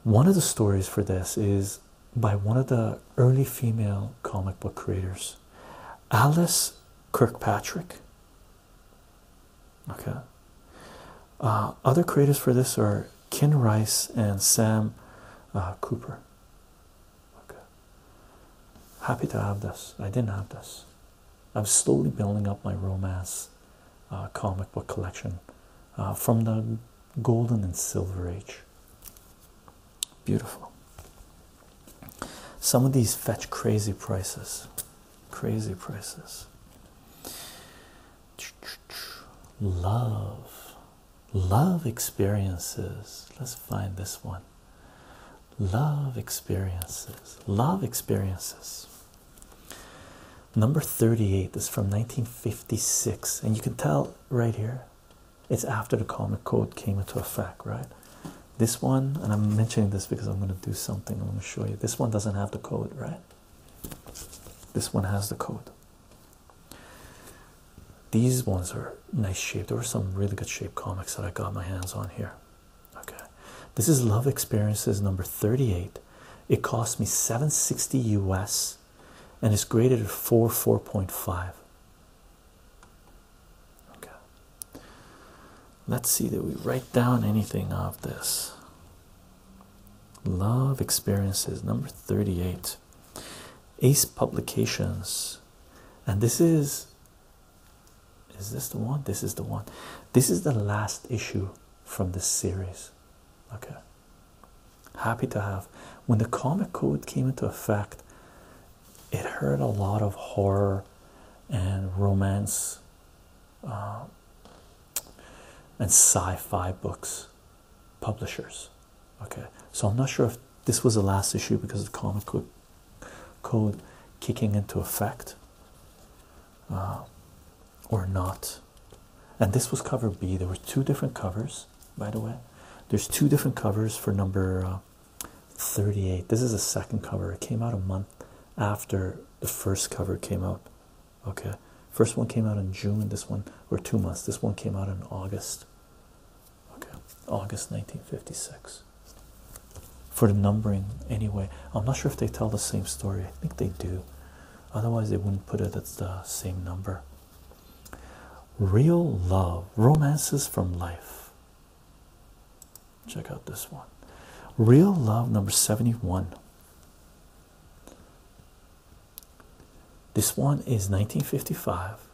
One of the stories for this is by one of the early female comic book creators, Alice Kirkpatrick. Okay. Uh, other creators for this are Ken Rice and Sam uh, Cooper. Okay. Happy to have this. I didn't have this. I'm slowly building up my romance uh, comic book collection from the golden and silver age. Beautiful. Some of these fetch crazy prices. Crazy prices love love experiences let's find this one love experiences love experiences number 38 is from 1956 and you can tell right here it's after the comic code came into effect right this one and i'm mentioning this because i'm going to do something i'm going to show you this one doesn't have the code right this one has the code. These ones are nice shape. There were some really good shape comics that I got my hands on here. Okay, this is Love Experiences number 38. It cost me 760 US and it's graded at 4 4.5. Okay, let's see that we write down anything of this. Love Experiences, number 38. Ace Publications. And this is. Is this the one? This is the one. This is the last issue from this series. Okay. Happy to have. When the comic code came into effect, it hurt a lot of horror and romance uh, and sci-fi books publishers okay so i'm not sure if this was the last issue because of comic code, code kicking into effect uh, or not and this was cover b there were two different covers by the way there's two different covers for number uh, 38 this is the second cover it came out a month after the first cover came out okay first one came out in june this one or two months this one came out in august okay august 1956 for the numbering anyway i'm not sure if they tell the same story i think they do otherwise they wouldn't put it at the same number real love romances from life check out this one real love number 71 this one is 1955.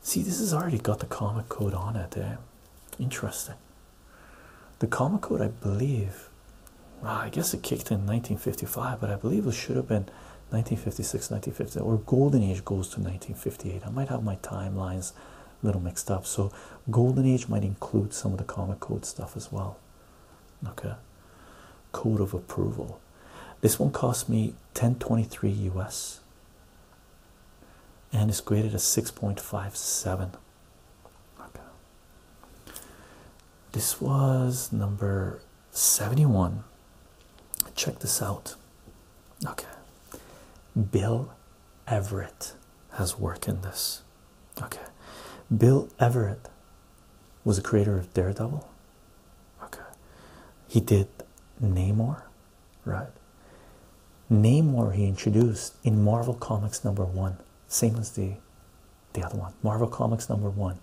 See, this has already got the comic code on it, eh? Interesting. The comic code, I believe, I guess it kicked in 1955, but I believe it should have been 1956, 1950, or Golden Age goes to 1958. I might have my timelines a little mixed up, so Golden Age might include some of the comic code stuff as well okay code of approval this one cost me 1023 us and it's graded as 6.57 okay this was number 71 check this out okay bill everett has work in this okay bill everett was the creator of Daredevil. Okay. He did Namor, right? Namor he introduced in Marvel Comics number one, same as the the other one. Marvel Comics number one.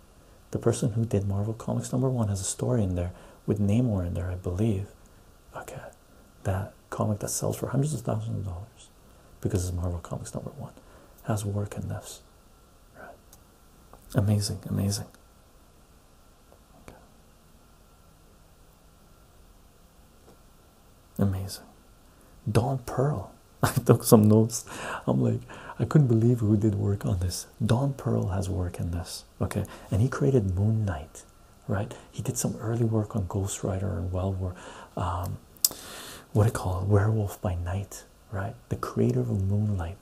The person who did Marvel Comics number one has a story in there with Namor in there, I believe. Okay. That comic that sells for hundreds of thousands of dollars because it's Marvel Comics number one has work in this. Right. Amazing, amazing. Amazing. Dawn Pearl. I took some notes. I'm like, I couldn't believe who did work on this. Don Pearl has work in this, okay? And he created Moon Knight, right? He did some early work on Ghost Rider and Well um, what do you call it? Werewolf by Night, right? The creator of Moonlight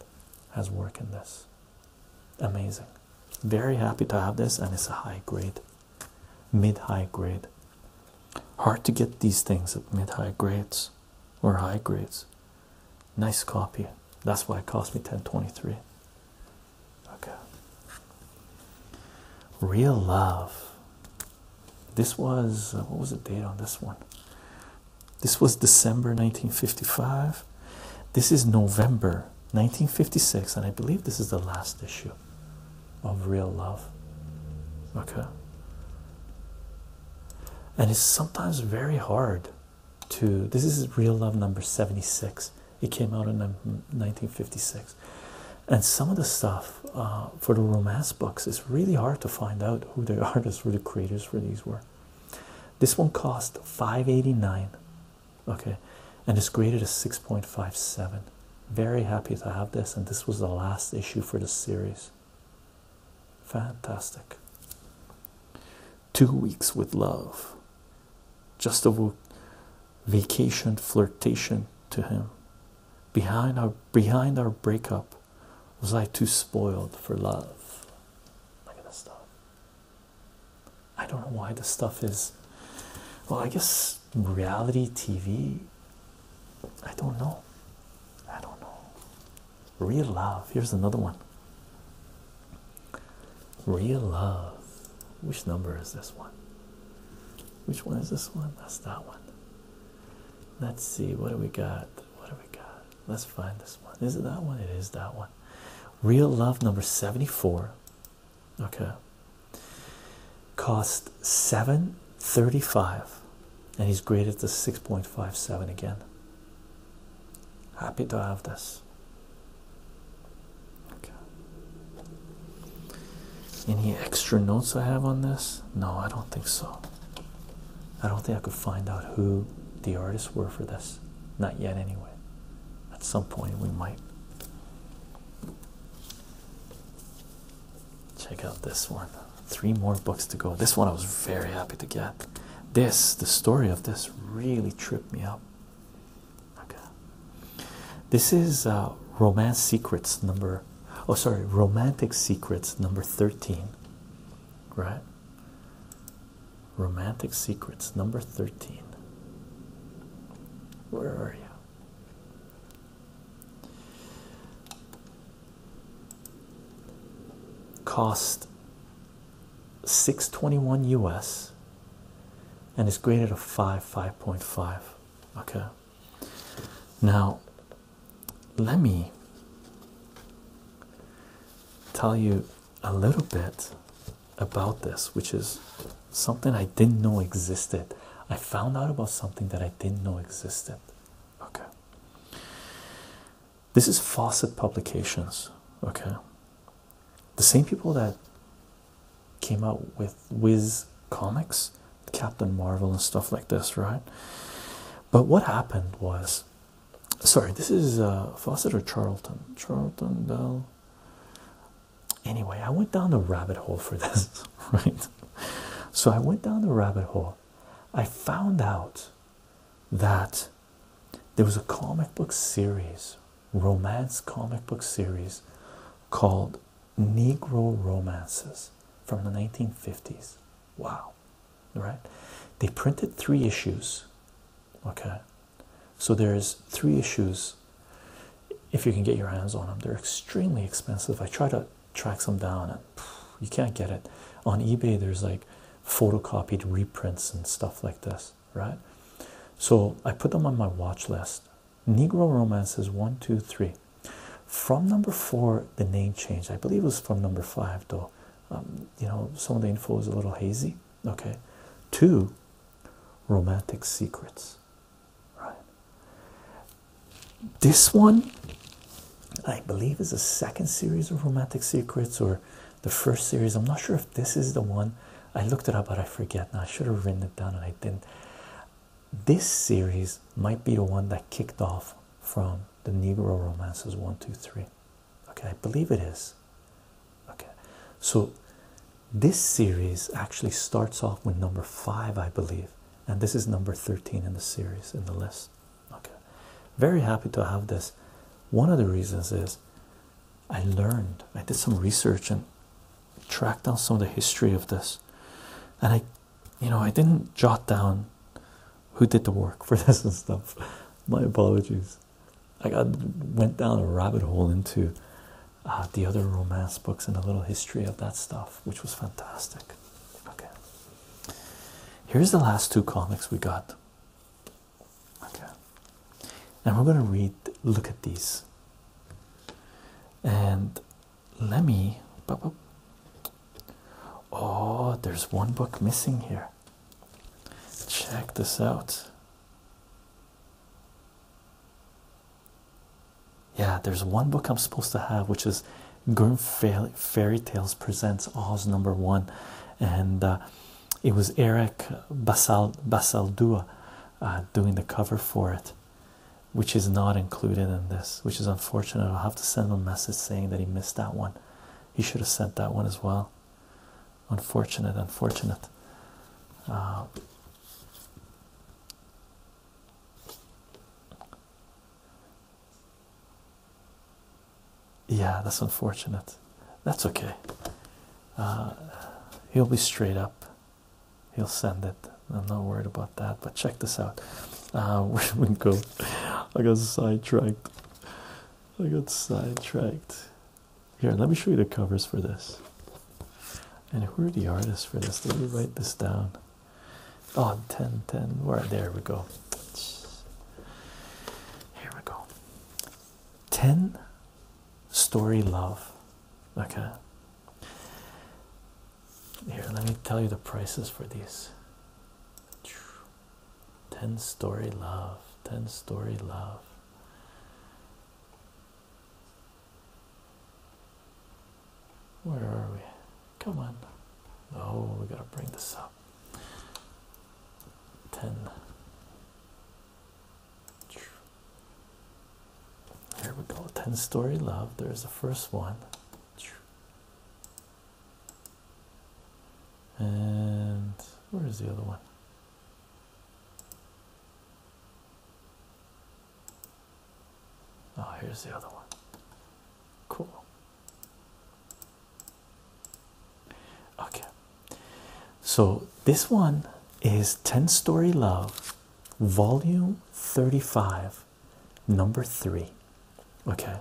has work in this. Amazing. Very happy to have this, and it's a high grade, mid high grade. Hard to get these things at mid high grades or high grades. Nice copy. That's why it cost me 1023. Okay. Real love. This was uh, what was the date on this one? This was December 1955. This is November 1956, and I believe this is the last issue of Real Love. Okay. And it's sometimes very hard to. This is Real Love number 76. It came out in 1956. And some of the stuff uh, for the romance books, is really hard to find out who the artists, who the creators for these were. This one cost 589. Okay, and it's graded as 6.57. Very happy to have this, and this was the last issue for the series. Fantastic. Two weeks with love. Just a vacation flirtation to him. Behind our behind our breakup, was I too spoiled for love? Look at this stuff. I don't know why this stuff is. Well, I guess reality TV. I don't know. I don't know. Real love. Here's another one. Real love. Which number is this one? Which one is this one? That's that one. Let's see. What do we got? What do we got? Let's find this one. Is it that one? It is that one. Real Love number 74. Okay. Cost 735. And he's graded to 6.57 again. Happy to have this. Okay. Any extra notes I have on this? No, I don't think so. I don't think I could find out who the artists were for this. Not yet, anyway. At some point, we might. Check out this one. Three more books to go. This one I was very happy to get. This, the story of this, really tripped me up. Okay. This is uh, Romance Secrets number. Oh, sorry, Romantic Secrets number 13. Right? Romantic Secrets, number 13. Where are you? Cost 621 US and it's graded a 5, 5.5. Okay, now let me tell you a little bit about this, which is something I didn't know existed. I found out about something that I didn't know existed. Okay. This is Fawcett Publications. Okay. The same people that came out with Wiz Comics, Captain Marvel, and stuff like this, right? But what happened was Sorry, this is uh, Fawcett or Charlton. Charlton Bell. Anyway, I went down the rabbit hole for this, right? So I went down the rabbit hole. I found out that there was a comic book series, romance comic book series called Negro Romances from the 1950s. Wow, right? They printed three issues. Okay, so there's three issues. If you can get your hands on them, they're extremely expensive. I try to track some down, and you can't get it on eBay. There's like photocopied reprints and stuff like this, right? So I put them on my watch list. Negro romances one, two, three. From number four, the name changed. I believe it was from number five, though. Um, you know, some of the info is a little hazy. Okay, two romantic secrets, right? This one, I believe, is the second series of romantic secrets or the first series. I'm not sure if this is the one I looked it up, but I forget now. I should have written it down and I didn't. This series might be the one that kicked off from the Negro romances one, two, three okay i believe it is okay so this series actually starts off with number five i believe and this is number 13 in the series in the list okay very happy to have this one of the reasons is i learned i did some research and tracked down some of the history of this and i you know i didn't jot down who did the work for this and stuff. My apologies. I got went down a rabbit hole into uh, the other romance books and a little history of that stuff, which was fantastic. Okay, here's the last two comics we got. Okay, and we're gonna read, look at these, and let me. Oh, there's one book missing here. Check this out. Yeah, there's one book I'm supposed to have, which is Grim Fairy Tales Presents Oz Number One, and uh, it was Eric Basal Basaldua uh, doing the cover for it, which is not included in this, which is unfortunate. I'll have to send him a message saying that he missed that one. He should have sent that one as well. Unfortunate, unfortunate. Uh, yeah, that's unfortunate. That's okay. Uh, he'll be straight up. He'll send it. I'm not worried about that. But check this out. Uh, where we go? I got sidetracked. I got sidetracked. Here, let me show you the covers for this. And who are the artists for this? Let me write this down. Oh, 10, 10. Where? There we go. Here we go. 10 Story Love. Okay. Here, let me tell you the prices for these. 10 story love 10 story love where are we come on oh we gotta bring this up 10 here we go 10 story love there's the first one and where is the other one oh here's the other one cool okay so this one is 10 story love volume 35 number 3 okay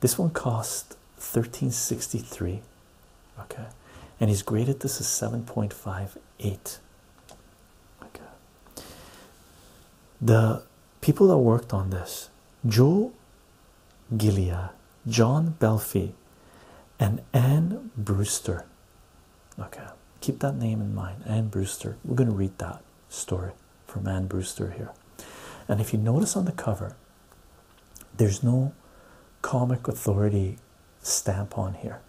this one cost 1363 okay and he's graded this as 7.58 okay the people that worked on this joe gilia john belfi and anne brewster okay keep that name in mind anne brewster we're going to read that story from anne brewster here and if you notice on the cover there's no comic authority stamp on here,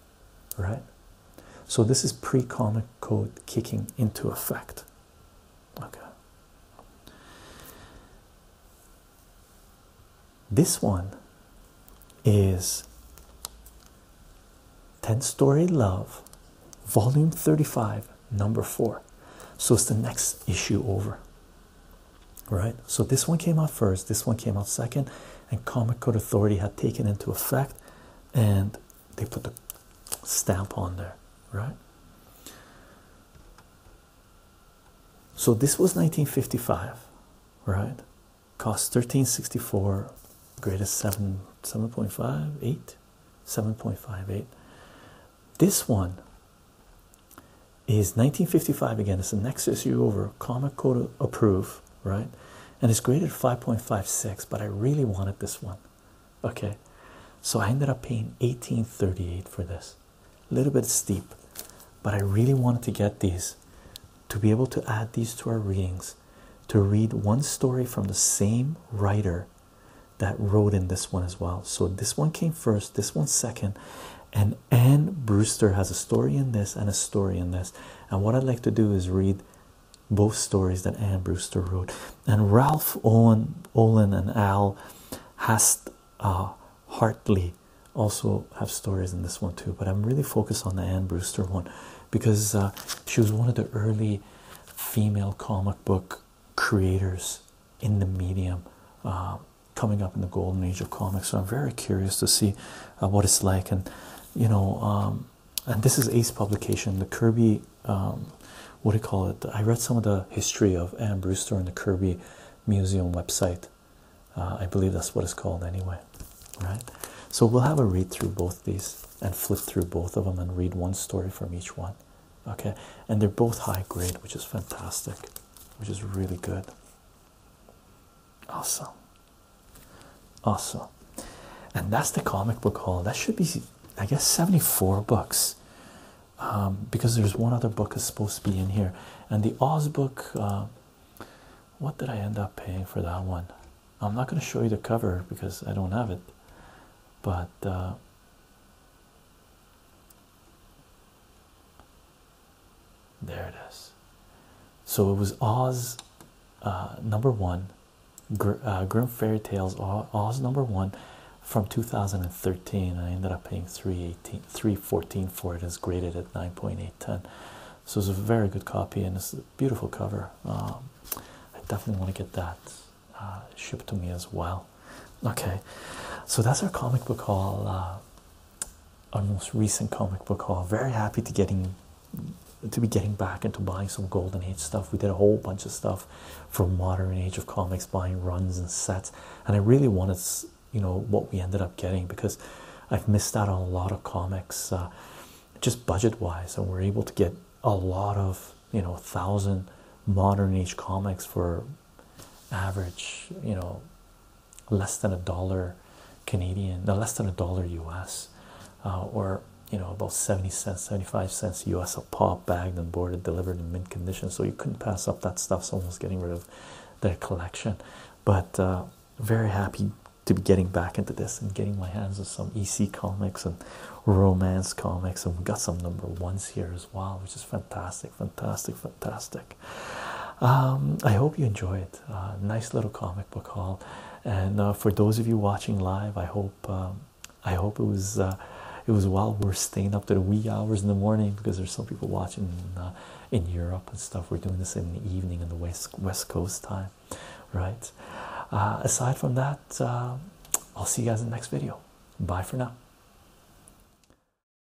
right? So this is pre-comic code kicking into effect. Okay. This one is 10 Story Love, Volume 35, Number 4. So it's the next issue over right? So this one came out first, this one came out second, and Comic Code Authority had taken into effect and they put the stamp on there, right? So this was 1955, right? Cost 1364, grade is 7, 7.58, 7.58. This one is 1955 again. It's the next issue over, comic code approve, right? And it's graded 5.56, but I really wanted this one. Okay, so I ended up paying 1838 for this. A little bit steep, but I really wanted to get these to be able to add these to our readings, to read one story from the same writer that wrote in this one as well. So this one came first, this one second, and and Anne Brewster has a story in this and a story in this. And what I'd like to do is read both stories that Anne Brewster wrote. And Ralph Olin and Al Hast uh, Hartley also have stories in this one too. But I'm really focused on the Anne Brewster one because uh, she was one of the early female comic book creators in the medium. Uh, coming up in the golden age of comics. So I'm very curious to see uh, what it's like, and you know, um, and this is Ace Publication, the Kirby. Um, what do you call it? I read some of the history of Anne Brewster and the Kirby Museum website. Uh, I believe that's what it's called, anyway. Right. So we'll have a read through both these and flip through both of them and read one story from each one. Okay, and they're both high grade, which is fantastic which is really good. Awesome. Awesome. And that's the comic book hall. That should be, I guess, 74 books. Um, because there's one other book is supposed to be in here. And the Oz book, uh, what did I end up paying for that one? I'm not going to show you the cover because I don't have it. But uh, there it is. So it was Oz uh, number one, Gr uh, Grim Fairy Tales Oz number one from 2013. I ended up paying 314 for it. It's graded at 9.810. So it's a very good copy and it's a beautiful cover. Um, I definitely want to get that uh, shipped to me as well. Okay, so that's our comic book haul our most recent comic book haul. Very happy to getting to be getting back into buying some golden age stuff. We did a whole bunch of stuff from modern age of comics, buying runs and sets, and I really wanted you know what we ended up getting because I've missed out on a lot of comics, uh, just budget wise, and we're able to get a lot of you know thousand modern age comics for average, you know, less than a dollar Canadian, no, less than a dollar US, uh, or you know, about 70 cents, 75 cents US a pop, bagged and boarded, delivered in mint condition. So you couldn't pass up that stuff. So I was getting rid of their collection, but uh, very happy to be getting back into this and getting my hands on some EC comics and romance comics, and we got some number ones here as well, which is fantastic, fantastic, fantastic. Um, I hope you enjoy it. Uh, nice little comic book haul, and uh, for those of you watching live, I hope um, I hope it was uh, it was while we're staying up to the wee hours in the morning because there's some people watching in Europe and stuff. We're doing this in the evening in the west Coast time, right? aside from that, I'll see you guys in the next video. Bye for now.